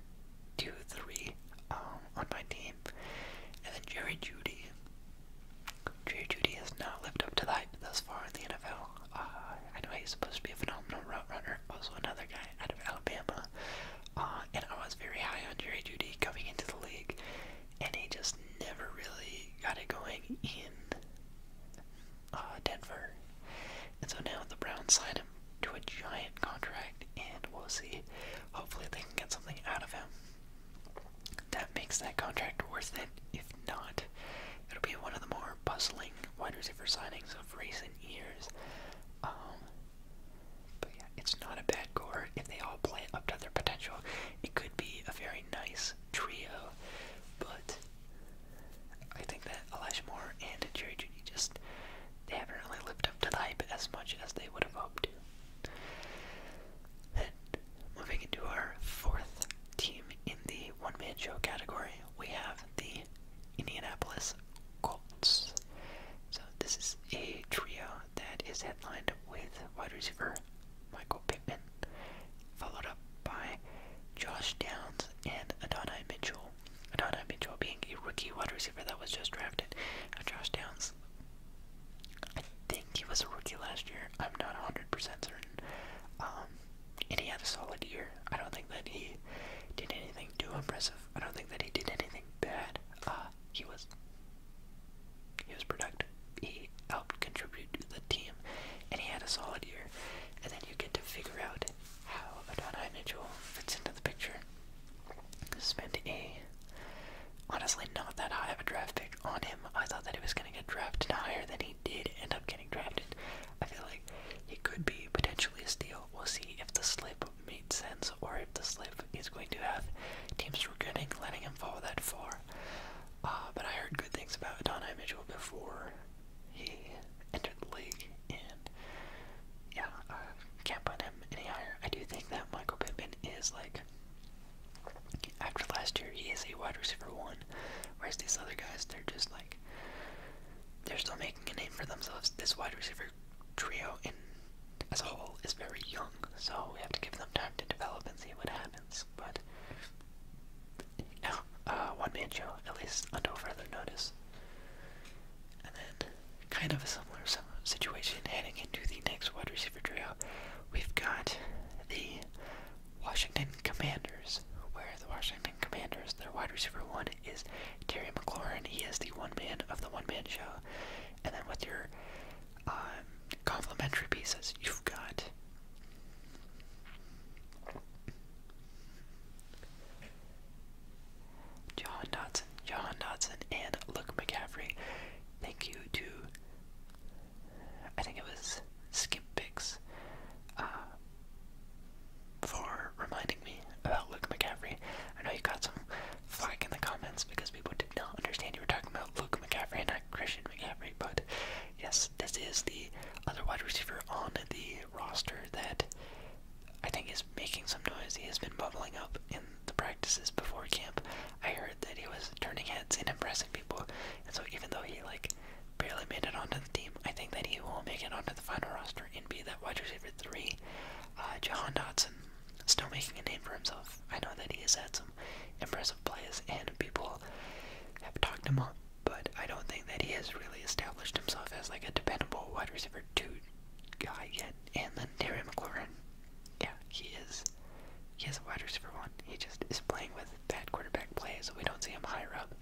two three um, on my team. And then Jerry Judy. Jerry Judy has not lived up to the hype thus far in the NFL. Uh, I know he's supposed to be a phenomenal route runner, also another guy out of Alabama. Uh, and I was very high on Jerry Judy coming into the league, and he just never really got it going in uh, Denver. And so now the Browns signed him to a giant contract, and we'll see. Hopefully, they can get something out of him that makes that contract worth it. If not, it'll be one of the more puzzling wide receiver signings of recent years. Um, but yeah, it's not a bad core if they all play up to their potential. It could be a very nice trio, but I think that Elijah and Jerry Judy just they haven't really lived up to the hype as much as they would have hoped Then moving into our fourth team in the one man show category, we have the Indianapolis Colts. So this is a trio that is headlined with wide receiver Michael Pittman, followed up by Josh Downs and Adonai Mitchell. Adonai Mitchell being a rookie wide receiver that was just drafted. Uh, Josh Downs, I think he was a rookie last year. I'm not 100% certain. Um, and he had a solid year. I don't think that he did anything too impressive. I don't think that he did anything bad. Uh, he was he was productive he helped contribute to the team, and he had a solid year. And then you get to figure out how Adonai Mitchell fits into the picture. Spent a honestly not that high of a draft pick on him. I thought that he was going to get drafted higher than he did end up getting drafted. I feel like he could be potentially a steal. We'll see if the slip made sense or if the slip is going to have teams regretting letting him fall that far. Uh, but I heard good things about Adonai Mitchell before he entered the league, and yeah, I can't put him any higher. I do think that Michael Pittman is like, after last year, he is a wide receiver one, whereas these other guys, they're just like, they're still making a name for themselves. This wide receiver trio in as a whole is very young, so we have to give them time to develop and see what happens. But uh, one-man show, at least until further notice. And then, kind of a similar situation heading into the next wide receiver trio, we've got the Washington Commanders, where the Washington Commanders, their wide receiver one is Terry McLaurin. He is the one-man of the one-man show. And then with your um, complimentary pieces, you've got John Dodson, and Luke McCaffrey. Thank you to, I think it was Skip Picks, uh, for reminding me about Luke McCaffrey. I know you got some flack in the comments because people did not understand you were talking about Luke McCaffrey and not Christian McCaffrey, but yes, this is the other wide receiver on the roster that I think is making some noise. He has been bubbling up in the practices before camp. I heard that he was turning heads and impressing people, and so even though he like barely made it onto the team, I think that he will make it onto the final roster and be that wide receiver three. Uh, Jahan Dotson still making a name for himself. I know that he has had some impressive plays, and people have talked him up but I don't think that he has really established himself as like a dependable wide receiver two guy yet. And then Terry McLaurin, yeah, he is. He is a wide receiver one. He just is playing with bad quarterback play, so we don't see him higher up.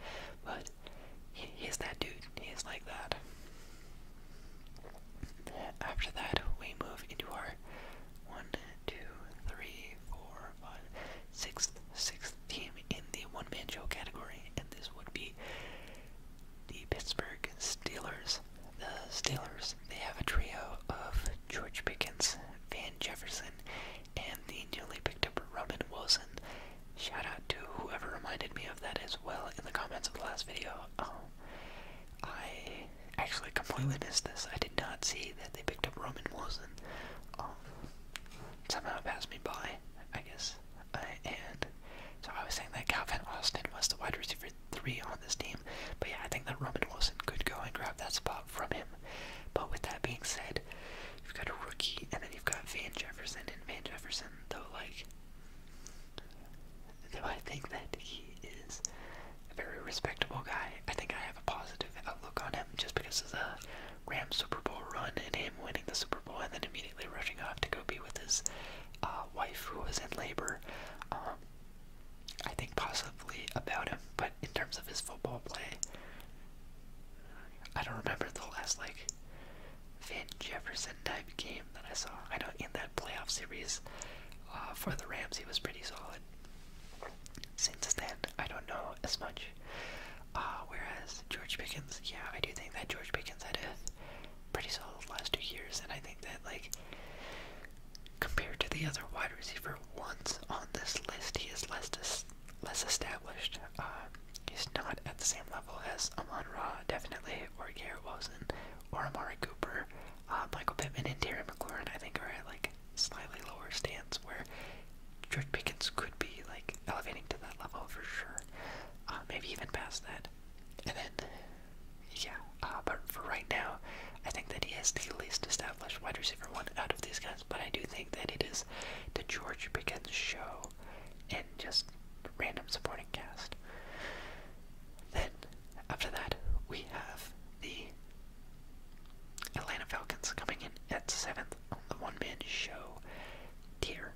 But he, he is that dude. He is like that. After that, we move into our one, two, three, four, sixth sixth team in the one man show category, and this would be the Pittsburgh Steelers. The Steelers they have a trio of George Pickens, Van Jefferson, and the newly picked up Roman Wilson. Shout out to whoever reminded me of that as well in the comments of the last video. Um, I actually completely missed this. I did not see that they picked up Roman Wilson. Um, somehow passed me by, I guess. Uh, and so I was saying that Calvin Austin was the wide receiver three on this team, but yeah, I think that Roman Wilson could go and grab that spot from him. But with that being said, you've got a rookie, and then you've got Van Jefferson, and Van Jefferson, though, like, though I think that he is a very respectable guy, I think I have a positive outlook on him just because of the Rams Super Bowl run and him winning the Super Bowl and then immediately rushing off to go be with his uh, wife who was in labor. Um, I think possibly about him, but in terms of his football play, I don't remember the last like Van Jefferson type game that I saw. I know in that playoff series uh, for the Rams he was pretty solid. Since then, I don't know as much. Uh, whereas George Pickens, yeah, I do think that George Pickens had a pretty solid last two years, and I think that like compared to the other wide receiver ones on this list, he is less less established. Uh, he's not at the same level as Amon Raw, definitely, or Garrett Wilson, or Amari Cooper. Uh, Michael Pittman and Terry McLaurin, I think, are at like slightly lower stands where George Pickens could be like elevating to that level for sure, uh, maybe even past that. And then, yeah, uh, but for right now, I think that he is the least established wide receiver one out of these guys. But I do think that it is the George Pickens show and just random supporting cast. Then, after that, we have the Atlanta Falcons coming in at seventh on the one man show tier.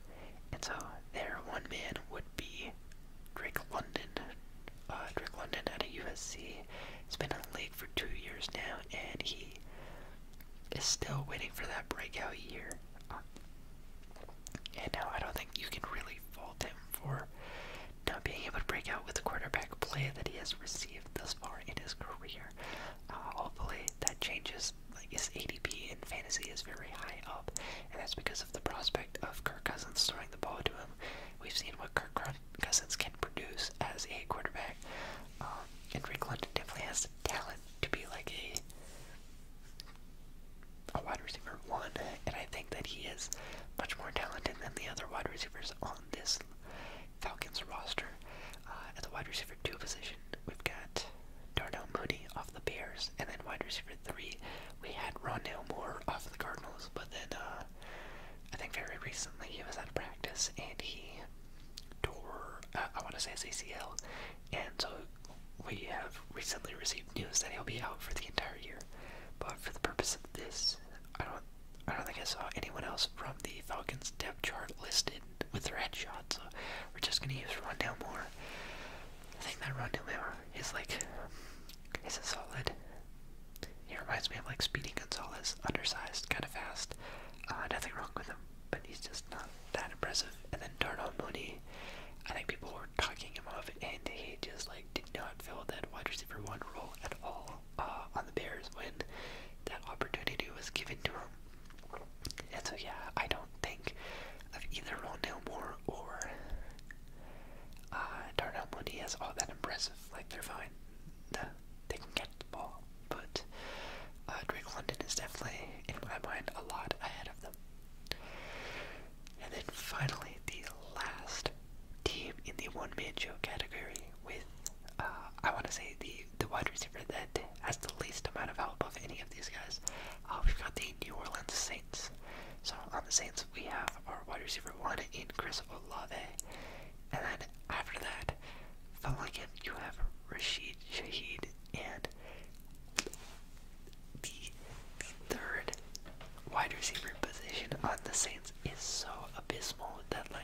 And so their one man would be Drake London. Uh, Drake London out of USC has been in the league for two years now, and he is still waiting for that breakout year. Uh, and now I don't think you can really fault him for not being able to break out with the quarterback play that he has received thus far in his career. Uh, hopefully that changes. I guess ADP in fantasy is very high up, and that's because of the prospect of Kirk Cousins throwing the ball to him. We've seen what Kirk Cousins can produce as a quarterback. Um, and Drake London definitely has the talent to be like a a wide receiver one, and I think that he is much more talented than the other wide receivers on this Falcons roster. Uh, at the wide receiver 2 position, we've got Darnell Mooney off the Bears, and then wide receiver 3, we had Rondell Moore off the Cardinals, but then uh, I think very recently he was out of practice and he tore, uh, I want to say his ACL, and so we have recently received news that he'll be out for the entire year. But for the purpose of this, I don't, I don't think I saw anyone else from the Falcons depth chart listed with red shot, so we're just gonna use Rondell Moore. I think that Rondell Moore is like, is a solid. He reminds me of like Speedy Gonzalez, undersized, kind of fast. Uh, nothing wrong with him, but he's just not that impressive. And then Darnell Mooney, I think people were talking him off, and he just like did not fill that wide receiver one role at all uh, on the Bears when that opportunity was given to him. And so, yeah, I don't think of either Rondell Moore or uh, Darnell Mooney as all that impressive. Like, they're fine. they can get the ball. But uh, Drake London is definitely, in my mind, a lot ahead of them. And then finally, the last team in the one man show category with uh, I want to say the the wide receiver that has the least amount of help of any of these guys. Uh, we've got the New Orleans Saints. So on the Saints, we have our wide receiver one in Chris Olave, and then after that, following him, you have Rashid Shaheed and the third wide receiver position on the Saints is so abysmal that like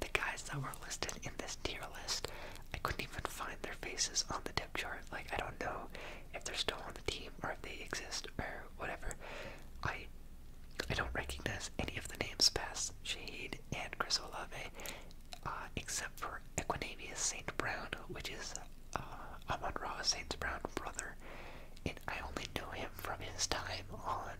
the guys that were listed in this tier list, I couldn't even find their faces on the depth chart. Like I don't know if they're still on the team or if they exist or whatever. I I don't recognize any of the names past Shade and Chris Olave, uh, except for Equinamius Saint Brown, which is uh, Amon Ra Saint's Brown brother, and I only know him from his time on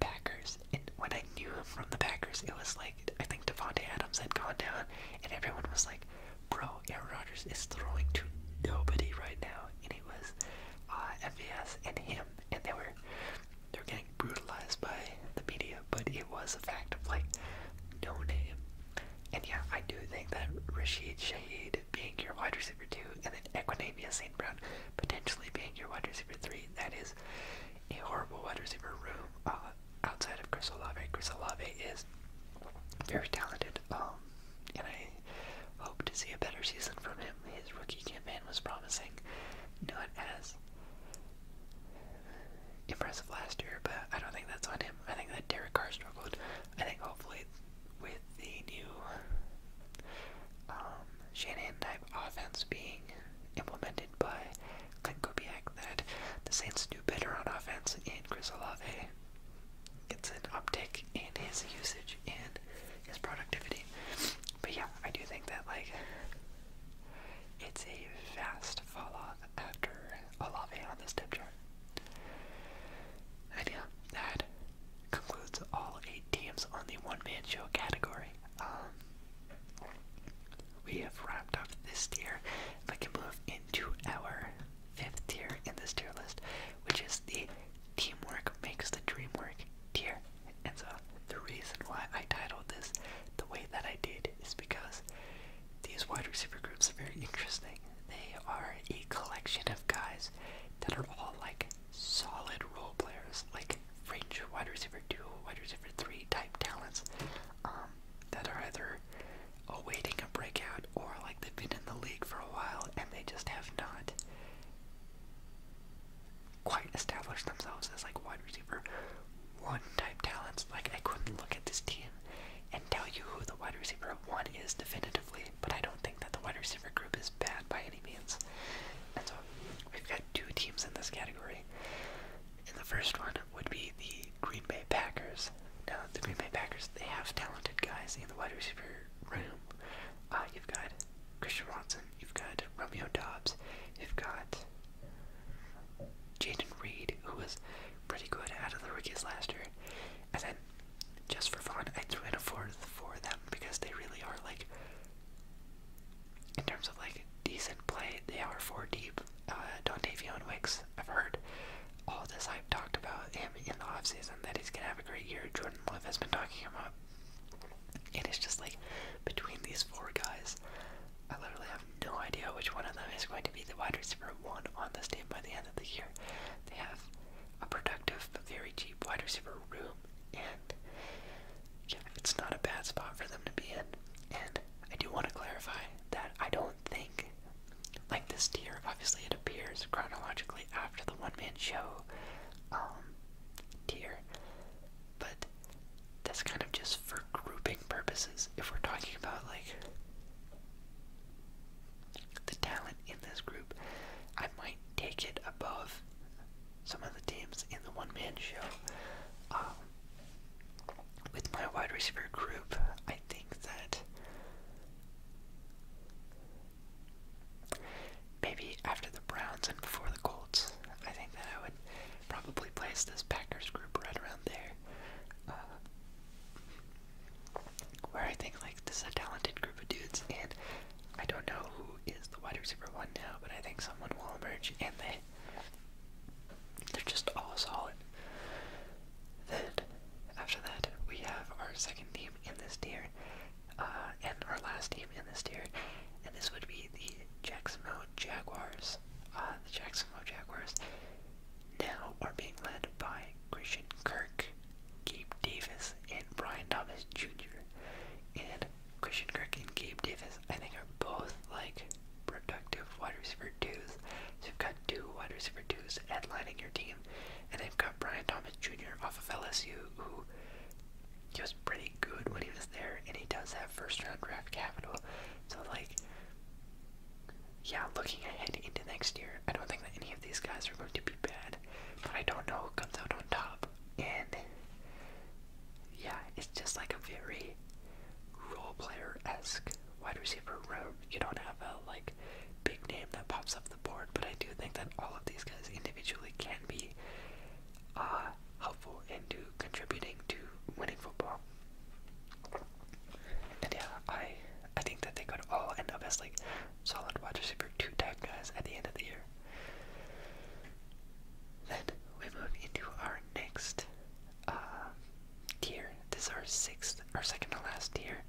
Packers and when I knew him from the Packers, it was like I think Devonte Adams had gone down, and everyone was like, "Bro, Aaron Rodgers is throwing to nobody right now," and it was uh, FBS and him, and they were they were getting brutalized by the media, but it was a fact of like no name, and yeah, I do think that Rashid Shaheed being your wide receiver two, and then Equinamia St. Brown potentially being your wide receiver three, that is a horrible wide receiver room uh, outside of Chris Olave. Chris Olave is very talented, um, and I hope to see a better season from him. His rookie campaign was promising, not as impressive last year, but I don't think that's on him. I think that Derek Carr struggled. I think hopefully with the new um, shannon type offense being implemented by Clint that the Saints do better on offense, and Chris Olave gets an uptick in his usage and his productivity. But yeah, I do think that like it's a vast fall off after Olave on this step chart. And yeah, that concludes all eight teams on the one man show category. Um, we have wrapped up this tier. If I can move into our fifth tier in this tier list, which is the teamwork makes the dream work tier. And so the reason why I titled this the way that I did is because these wide receiver groups are very interesting. They are a collection of guys that are all like solid role players. Like range wide receiver two, wide receiver three type talents um, that are either awaiting a breakout or like they've been in the league for a while and they just have not quite established themselves as like wide receiver one type talents. Like I couldn't look at this team and tell you who the wide receiver one is definitively, but I don't think that the wide receiver group is bad by any means. And so we've got two teams in this category. And the first one would be the Green Bay Packers. Now, the Green Bay Packers, they have talented guys in the wide receiver room. Uh, you've got Christian Watson, you've got Romeo Dobbs, you've got Jaden Reed, who was pretty good out of the rookies last year. And then, just for fun, I threw in a fourth for them because they really are like in terms of like decent play, they are four deep. Uh, Dontavion Wicks, I've heard all this I've talked about him in the offseason that he's gonna have a great year. Jordan Love has been talking him up. And it's just like between these four guys, I literally have no idea which one of them is going to be the wide receiver one on the team by the end of the year. They have a productive very deep wide receiver room, and yeah, it's not a bad spot for them to be in. And I do want to clarify that I don't think, like this tier, obviously it appears chronologically after the one man show um, tier, but that's kind of just for grouping purposes. If we're talking about like the talent in this group, I might take it above some of the teams in the one man show. Um, with my wide receiver group, I think that maybe after the Browns and before the Colts, I think that I would probably place this Packers group right around there. Uh, where I think like this is a talented group of dudes, and I don't know who is the wide receiver one now, but I think someone will emerge, and they they're just all solid. Then, after that, we have our second team in this tier, uh, and our last team in this tier, and this would be the Jacksonville Jaguars. Uh, the Jacksonville Jaguars now are being led by Christian Kirk, Gabe Davis, and Brian Thomas Jr. And Christian Kirk and Gabe Davis, I think, both like productive wide receiver twos. So you've got two wide receiver twos headlining your team, and they've got Brian Thomas Jr. off of LSU, who he was pretty good when he was there, and he does have first round draft capital. So like, yeah, looking ahead into next year, I don't think that any of these guys are going to be bad, but I don't know who comes out on top. And yeah, it's just like a very role player esque wide receiver role. You don't have a like big name that pops up the board, but I do think that all of these guys individually can be uh, helpful into contributing to winning football. And yeah, I I think that they could all end up as like solid wide receiver two type guys at the end of the year. Then we move into our next uh, This is our sixth, our second to last tier,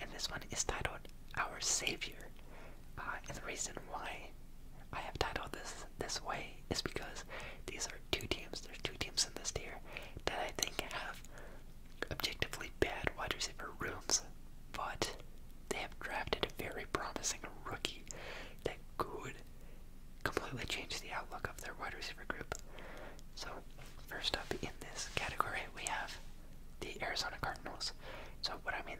and this one is titled "Our Savior." Uh, and the reason why I have titled this this way is because these are two teams. There's two teams in this tier that I think have objectively bad wide receiver rooms, but they have drafted a very promising rookie that could completely changed the outlook of their wide receiver group. So, first up in this category, we have the Arizona Cardinals. So, what I mean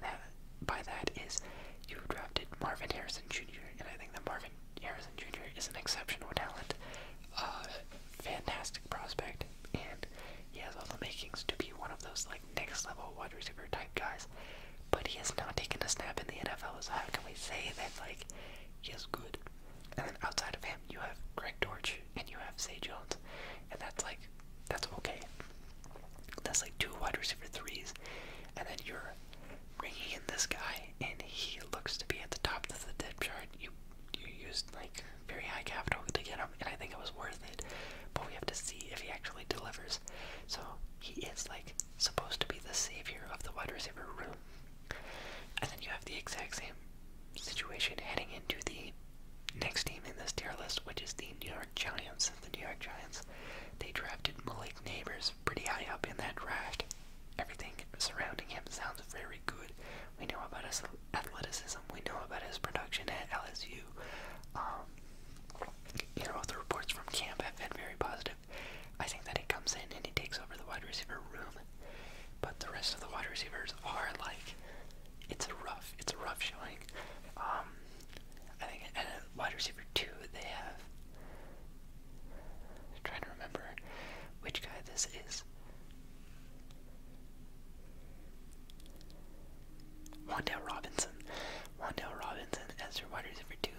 by that is you drafted Marvin Harrison Jr., and I think that Marvin Harrison Jr. is an exceptional talent, uh, fantastic prospect, and he has all the makings to be one of those like next level wide receiver type guys but he has not taken a snap in the NFL. So how can we say that like he is good? And then outside of him, you have Greg Dortch and you have Zay Jones, and that's like that's okay. That's like two wide receiver threes, and then you're bringing in this guy, and he looks to be at the top of the depth chart. You you used like very high capital to get him, and I think it was worth it. But we have to see if he actually delivers. So he is like supposed to be the savior of the wide receiver room, and then you have the exact same situation heading into the next team in this tier list, which is the New York Giants. The New York Giants, they drafted Malik Neighbors pretty high up in that draft. Everything surrounding him sounds very good. We know about his athleticism, we know about his production at LSU. Um, you know, the reports from camp have been very positive. I think that he comes in and he takes over the wide receiver room, but the rest of the wide receivers are like, it's a rough, it's a rough showing. Um, I think at wide receiver two they have. trying to remember which guy this is. Wandale Robinson. Wandale Robinson as your wide receiver two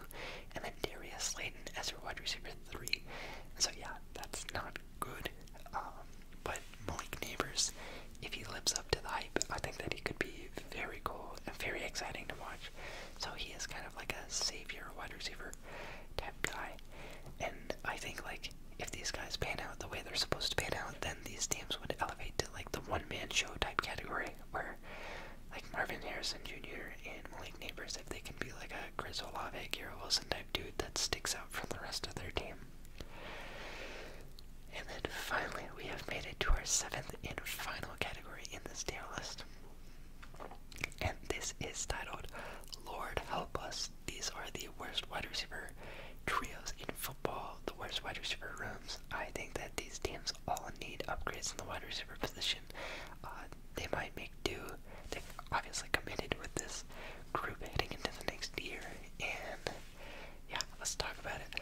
and then Darius Slayton as your wide receiver three. And so yeah, that's not good. Um, but Malik Neighbors, if he lives up to the hype, I think that he could be very cool and very exciting to watch. So he is kind of like a savior wide receiver type guy. And I think like if these guys pan out the way they're supposed to pan out, then these teams would elevate to like the one man show type category where like Marvin Harrison Jr. and Malik Neighbors if they can be like a Chris Olave, Garrett Wilson type dude that sticks out from the rest of their team. And then finally, we have made it to our seventh and final category in this tier list. And this is titled, Lord Help Us. These are the worst wide receiver trios in football, the worst wide receiver rooms. I think that these teams all need upgrades in the wide receiver position. Uh, they might make do. They obviously committed with this group heading into the next year, and yeah, let's talk about it.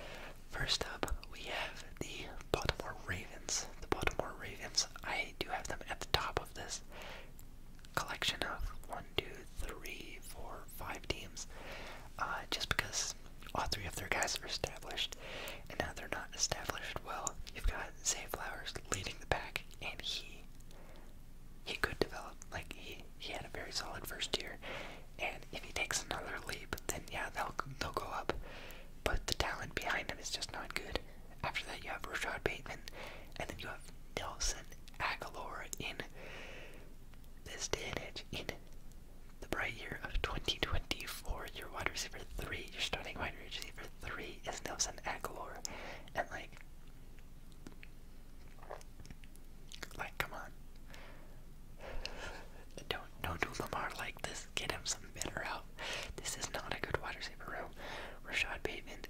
First up, we have the Baltimore Ravens. The Baltimore Ravens, I do have them at the top of this collection of one, two, three, four, five teams, uh, just because all three of their guys are established. And now they're not established. Well, you've got Zay Flowers leading the pack, and he he could develop. Like he he had a very solid first year, and if he takes another leap, then yeah, they'll they'll go up. But the talent behind him is just not good. After that, you have Rashad Bateman, and then you have Nelson Aguilar in this day and age in the bright year of 2024. Your wide receiver three, your starting wide receiver three, Lee is Nelson Aguilar, and like, like come on, don't don't do Lamar like this. Get him some better help. This is not a good wide receiver room. Rashad Bateman,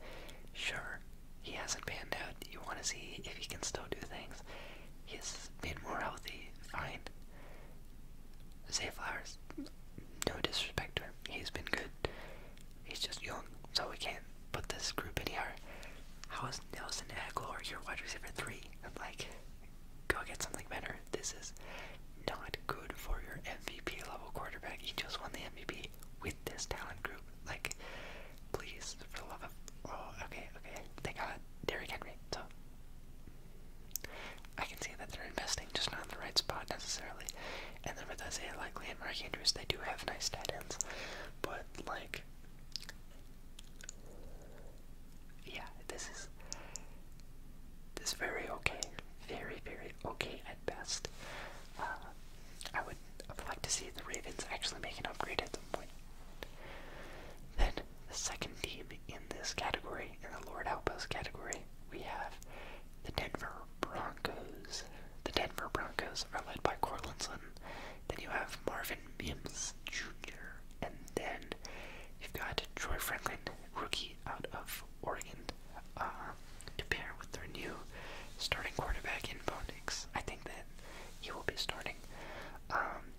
sure, he hasn't panned out. You want to see if he can still do things. He's been more healthy. Fine. Zay Flowers, no disrespect to him, He's been good. He's just young, so we can't put this group in here. How is Nelson Aguilar your wide receiver three? Like, go get something better. This is not good for your MVP level quarterback. He just won the MVP with this talent group. Like, please, for the love of oh, okay, okay. They got Derrick Henry, I can see that they're investing just not in the right spot necessarily. And then with Isaiah Likely and Mark Andrews, they do have nice tight ends. But, like, yeah, this is this is very okay. Very, very okay at best. Uh, I would like to see the Ravens actually make an upgrade at the point. Then, the second team in this category, in the Lord Help Us category, we have the Denver Broncos. The Denver Broncos are led by Cortlandson. Then you have Marvin Mims Jr. And then you've got Troy Franklin, rookie out of Oregon, uh, to pair with their new starting quarterback in Bo I think that he will be starting. Um,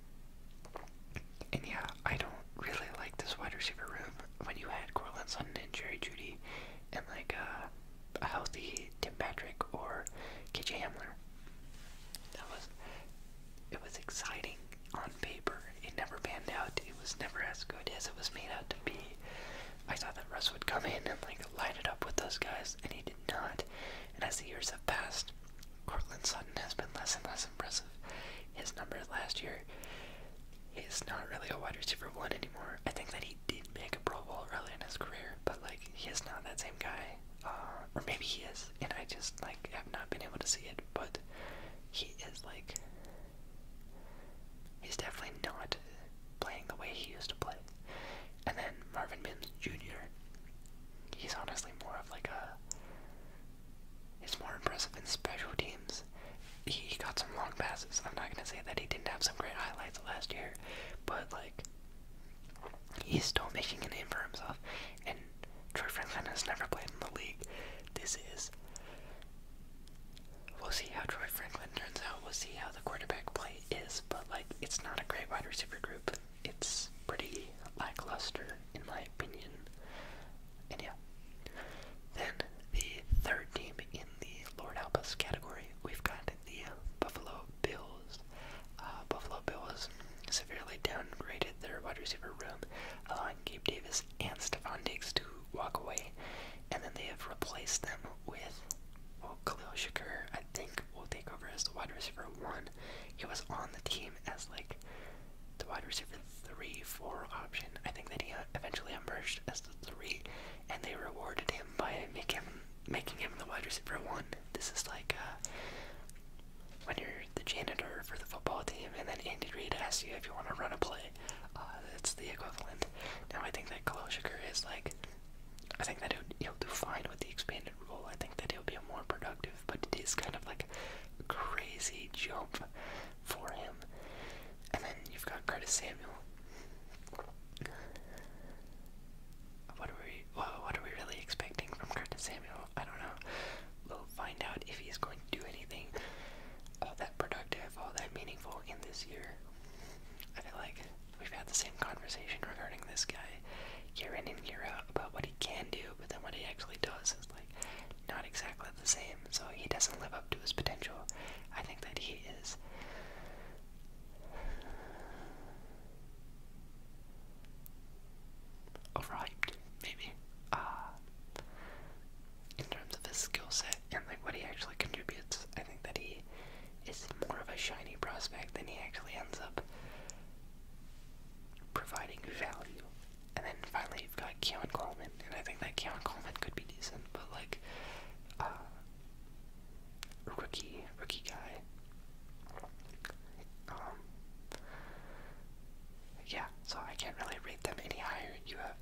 and yeah, I don't really like this wide receiver room when you had Corlin Sutton and Jerry Judy and like uh, a healthy Tim Patrick or KJ Hamler. That was it was exciting on paper. It never panned out. It was never as good as it was made out to be. I thought that Russ would come in and like light it up with those guys, and he did not. And as the years have passed, Cortland Sutton has been less and less impressive. His numbers last year he's not really a wide receiver one anymore. I think that he did make a Pro Bowl early in his career, but like he is not that same guy. Uh, or maybe he is, and I just like have not been able to see it. But he is like he's definitely not playing the way he used to play. And then Marvin Mims Jr. He's honestly more of like a. he's more impressive in special teams he got some long passes. I'm not gonna say that he didn't have some great highlights last year, but like he's still making a name for himself. And Troy Franklin has never played in the league. This is. We'll see how Troy Franklin turns out. We'll see how the quarterback play is, but like it's not a great wide receiver group. It's pretty lackluster in my opinion. And yeah. Then the third team in the Lord Help Us category, we've got the Buffalo Bills. Uh, Buffalo Bills severely downgraded their wide receiver room, allowing Gabe Davis and Stephon Diggs to walk away, and then they have replaced them with, well, Khalil Shakur, I think, will take over as the wide receiver one. He was on the team as, like, the wide receiver three four option. I think that he uh, eventually emerged as the three, and they rewarded him by making him making him the wide receiver one. This is like uh, when you're the janitor for the football team, and then Andy Reid asks you if you want to run a play. Uh, that's the equivalent. Now I think that Kaloshiker is like. I think that he'll do fine with the expanded rule. I think that he'll be more productive, but it is kind of like a crazy jump for him. And then you've got Curtis Samuel. What are we? Well, what are we really expecting from Curtis Samuel? I don't know. We'll find out if he's going to do anything all that productive, all that meaningful in this year. I feel like we've had the same conversation regarding this guy year in and year out about what he can do, but then what he actually does is like not exactly the same, so he doesn't live up to his potential. I think that he is. Overhyped, maybe, uh, in terms of his skill set and like what he actually contributes. I think that he is more of a shiny prospect than he actually ends up providing value. And then finally, they've got Keon Coleman, and I think that Keon Coleman could be decent, but like, uh, rookie, rookie guy. Um, yeah, so I can't really rate them any higher. You have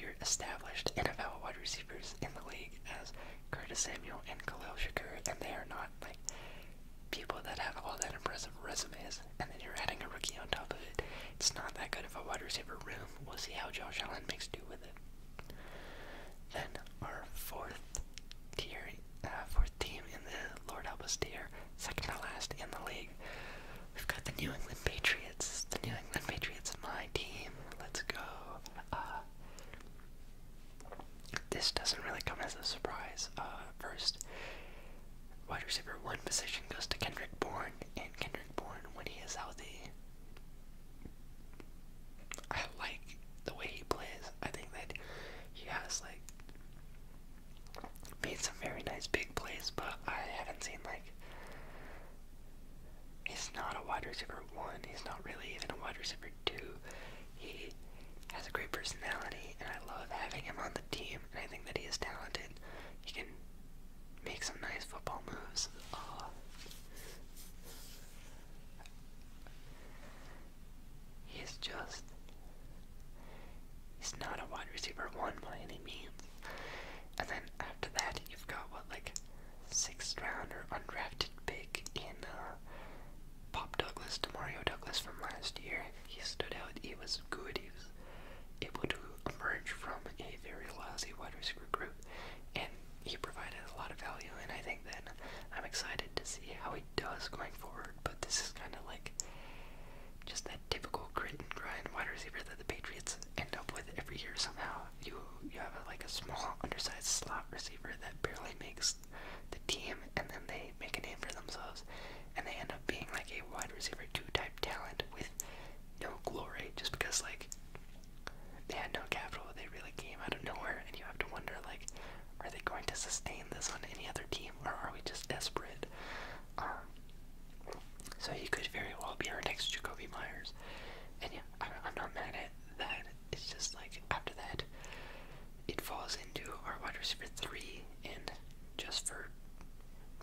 your established NFL wide receivers in the league as Curtis Samuel and Khalil Shakur, and they are not like people that have all that impressive resumes, and then you're adding a rookie on top of it. It's not that good of a wide receiver room we'll see how Josh Allen makes do with it. Then our fourth tier, uh, fourth team in the Lord Help Us tier, second to last in the league. We've got the New England Patriots. The New England Patriots, my team. Let's go. Uh, this doesn't really come as a surprise. Uh, first, wide receiver one position goes to Kendrick Bourne, and Kendrick Blackburn when he is healthy. I like the way he plays. I think that he has like made some very nice big plays, but I haven't seen like he's not a wide receiver one. He's not really even a wide receiver two. He has a great personality, and I love having him on the team. And I think that he is talented. He can make some nice football moves. Uh, he's just. He's not a wide receiver one by any means. And then after that, you've got what, like, sixth round or undrafted pick in uh, Pop Douglas, Mario Douglas from last year. He stood out. He was good. He was able to emerge from a very lousy wide receiver group, and he provided a lot of value. And I think that I'm excited to see how he does going forward. But this is kind of like just that typical grit and grind wide receiver that the Patriots end up with every year. Somehow, you you have a, like a small, undersized slot receiver that barely makes the team, and then they make a name for themselves, and they end up being like a wide receiver two type talent with no glory just because like they had no capital. They really came out of nowhere, and you have to wonder like, are they going to sustain this on any other team, or are we just desperate? Um, so he could very well be our next Jacoby Myers, and yeah, I, I'm not mad at that. It's just like after that, it falls into our wide receiver three, and just for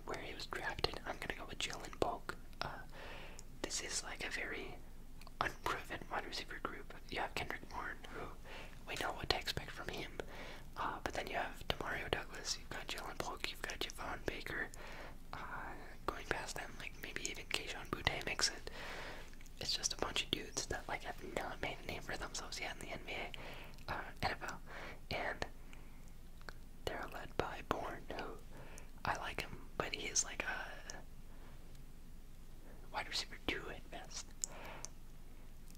where he was drafted, I'm gonna go with Jalen Polk. Uh, this is like a very unproven wide receiver group. You have Kendrick Bourne, who we know what to expect from him, uh, but then you have Demario Douglas, you've got Jalen Polk, you've got Javon Baker. Uh, going past them, like maybe even Keishon Boutte makes it. It's just a bunch of dudes that like have not made a name for themselves yet in the NBA, uh, NFL, and they're led by Bourne, who I like him, but he is like a wide receiver too. at best.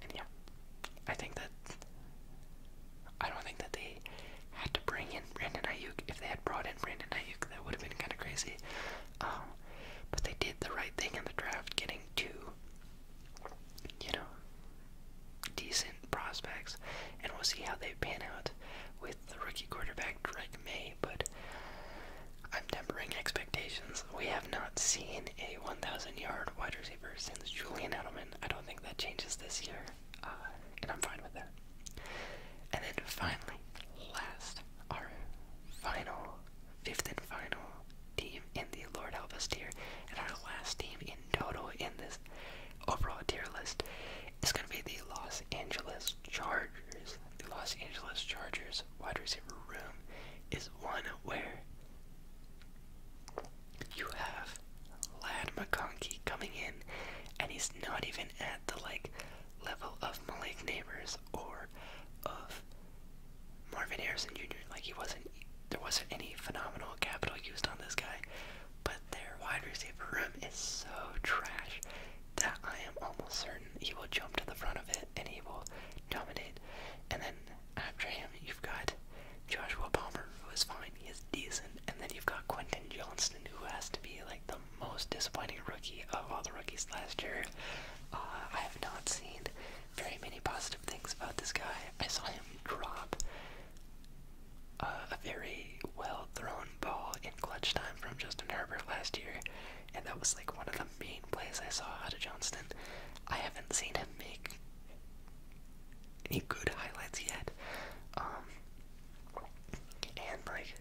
And yeah, I think that I don't think that they had to bring in Brandon Ayuk. If they had brought in Brandon Ayuk, that would have been kind of crazy. Um, but they did the right thing in the draft, getting two. You know, decent prospects, and we'll see how they pan out with the rookie quarterback Drake May. But I'm tempering expectations. We have not seen a 1,000-yard wide receiver since Julian Edelman. I don't think that changes this year, uh, and I'm fine with that. And then finally, last, our final, fifth and final team in the Lord Help Us tier, and our last team in total in this overall tier list it's going to be the Los Angeles Chargers. The Los Angeles Chargers wide receiver room is one where you have Lad McConkey coming in, and he's not even at the like level of Malik Neighbors or of Marvin Harrison Jr. Like he wasn't, there wasn't any phenomenal capital used on this guy, but their wide receiver room is so trash that I am almost certain he will jump to the front of it and he will dominate. And then after him, you've got Joshua Palmer, who is fine, he is decent, and then you've got Quentin Johnston, who has to be like the most disappointing rookie of all the rookies last year. Uh, I have not seen very many positive things about this guy. I saw him drop uh, a very well thrown ball in clutch time from Justin Herbert last year, and that was like one of the main plays I saw out of Johnston. I haven't seen him make any good highlights yet. Um, and like,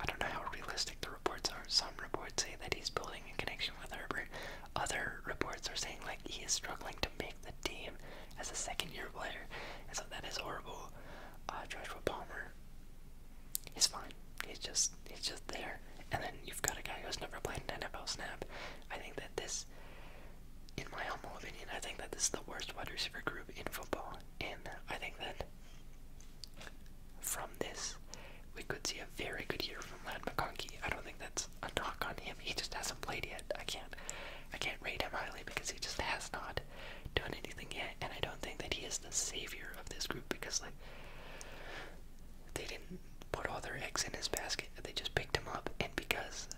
I don't know how realistic the reports are. Some reports say that he's building a connection with Herbert. Other reports are saying like he is struggling to make the team as a second year player, and so that is horrible. Uh, Joshua Palmer, he's fine. He's just he's just there. And then you've got a guy who's never played an NFL snap. I think that this, in my humble opinion, I think that this is the worst wide receiver group in football. And I think that from this, we could see a very good year from Lad McConkey. I don't think that's a knock on him. He just hasn't played yet. I can't, I can't rate him highly because he just has not done anything yet, and I don't think that he is the savior of this group because like they didn't put all their eggs in his basket. They just picked him up, and because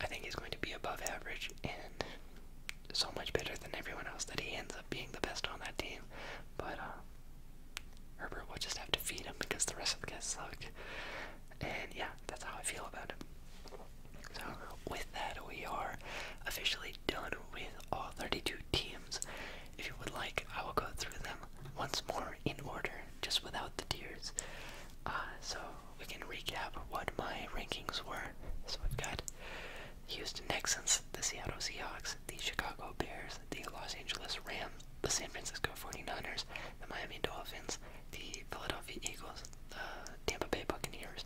I think he's going to be above average and so much better than everyone else that he ends up being the best on that team. But uh, Herbert will just have to feed him because the rest of the guys suck. And yeah, that's how I feel about him. So, with that, we are officially done with all 32 teams. If you would like, I will go through them once more in order, just without the tears. Uh, so, we can recap what my rankings were. So, we've got Houston Texans, the Seattle Seahawks, the Chicago Bears, the Los Angeles Rams, the San Francisco 49ers, the Miami Dolphins, the Philadelphia Eagles, the Tampa Bay Buccaneers,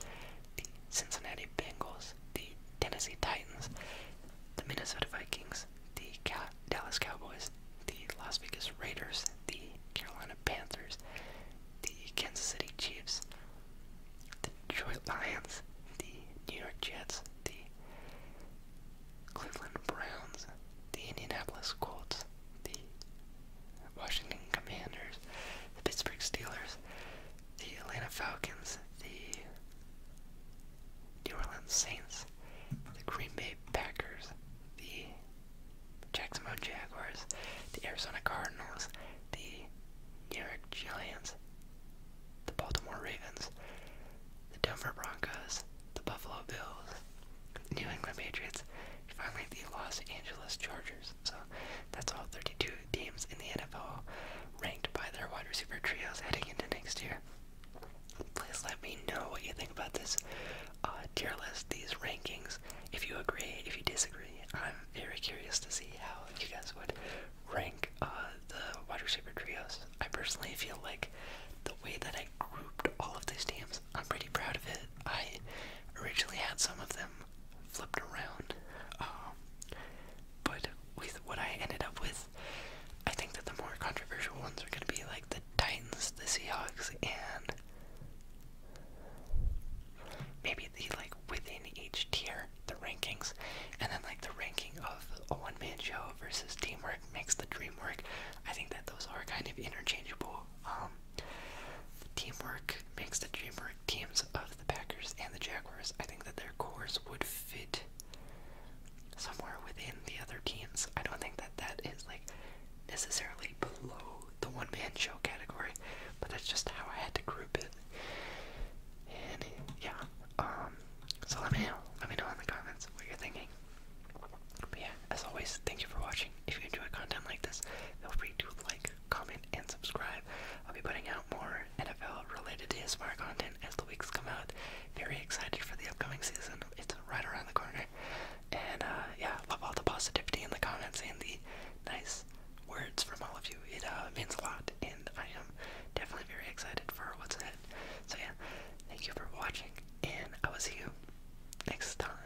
the Cincinnati Bengals, the Tennessee Titans, the Minnesota Vikings, the Dallas Cowboys, the Las Vegas Raiders, the Carolina Panthers, the Kansas City Chiefs, the Detroit Lions, the New York Jets, the Cleveland Browns, the Indianapolis Colts, the Washington Commanders, the Pittsburgh Steelers, the Atlanta Falcons, the New Orleans Saints, the Green Bay Packers, the Jacksonville Jaguars, the Arizona Cardinals, the New York Giants, the Baltimore Ravens, the Denver Broncos, the Buffalo Bills, New England Patriots, Finally, the Los Angeles Chargers. So that's all 32 teams in the NFL ranked by their wide receiver trios heading into next year. Please let me know what you think about this uh, tier list, these rankings. If you agree, if you disagree, I'm very curious to see how you guys would rank uh, the wide receiver trios. I personally feel like the way that I grouped all of these teams, I'm pretty proud of it. I originally had some of them flipped around. Um, but with what I ended up with, I think that the more controversial ones are going to be like the Titans, the Seahawks, and maybe the like within each tier the rankings, and then like the ranking of a one-man show versus teamwork makes the dream work. I think that those are kind of interchangeable. Um, teamwork makes the dream work teams of the Packers and the Jaguars. I think that their cores would fit somewhere within the other teams. I don't think that that is like necessarily below the one man show category, but that's just how I had to group it. And yeah, um, so let me know, let me know in the comments what you're thinking. But yeah, as always, thank you for watching. If you enjoy content like this, feel free to like, comment, and subscribe. I'll be putting out more NFL related ASMR content as the weeks come out. Very excited for the upcoming season. It's right around the corner. And uh, yeah, love all the positivity in the comments and the nice words from all of you. It uh, means a lot, and I am definitely very excited for what's ahead. So yeah, thank you for watching, and I will see you next time.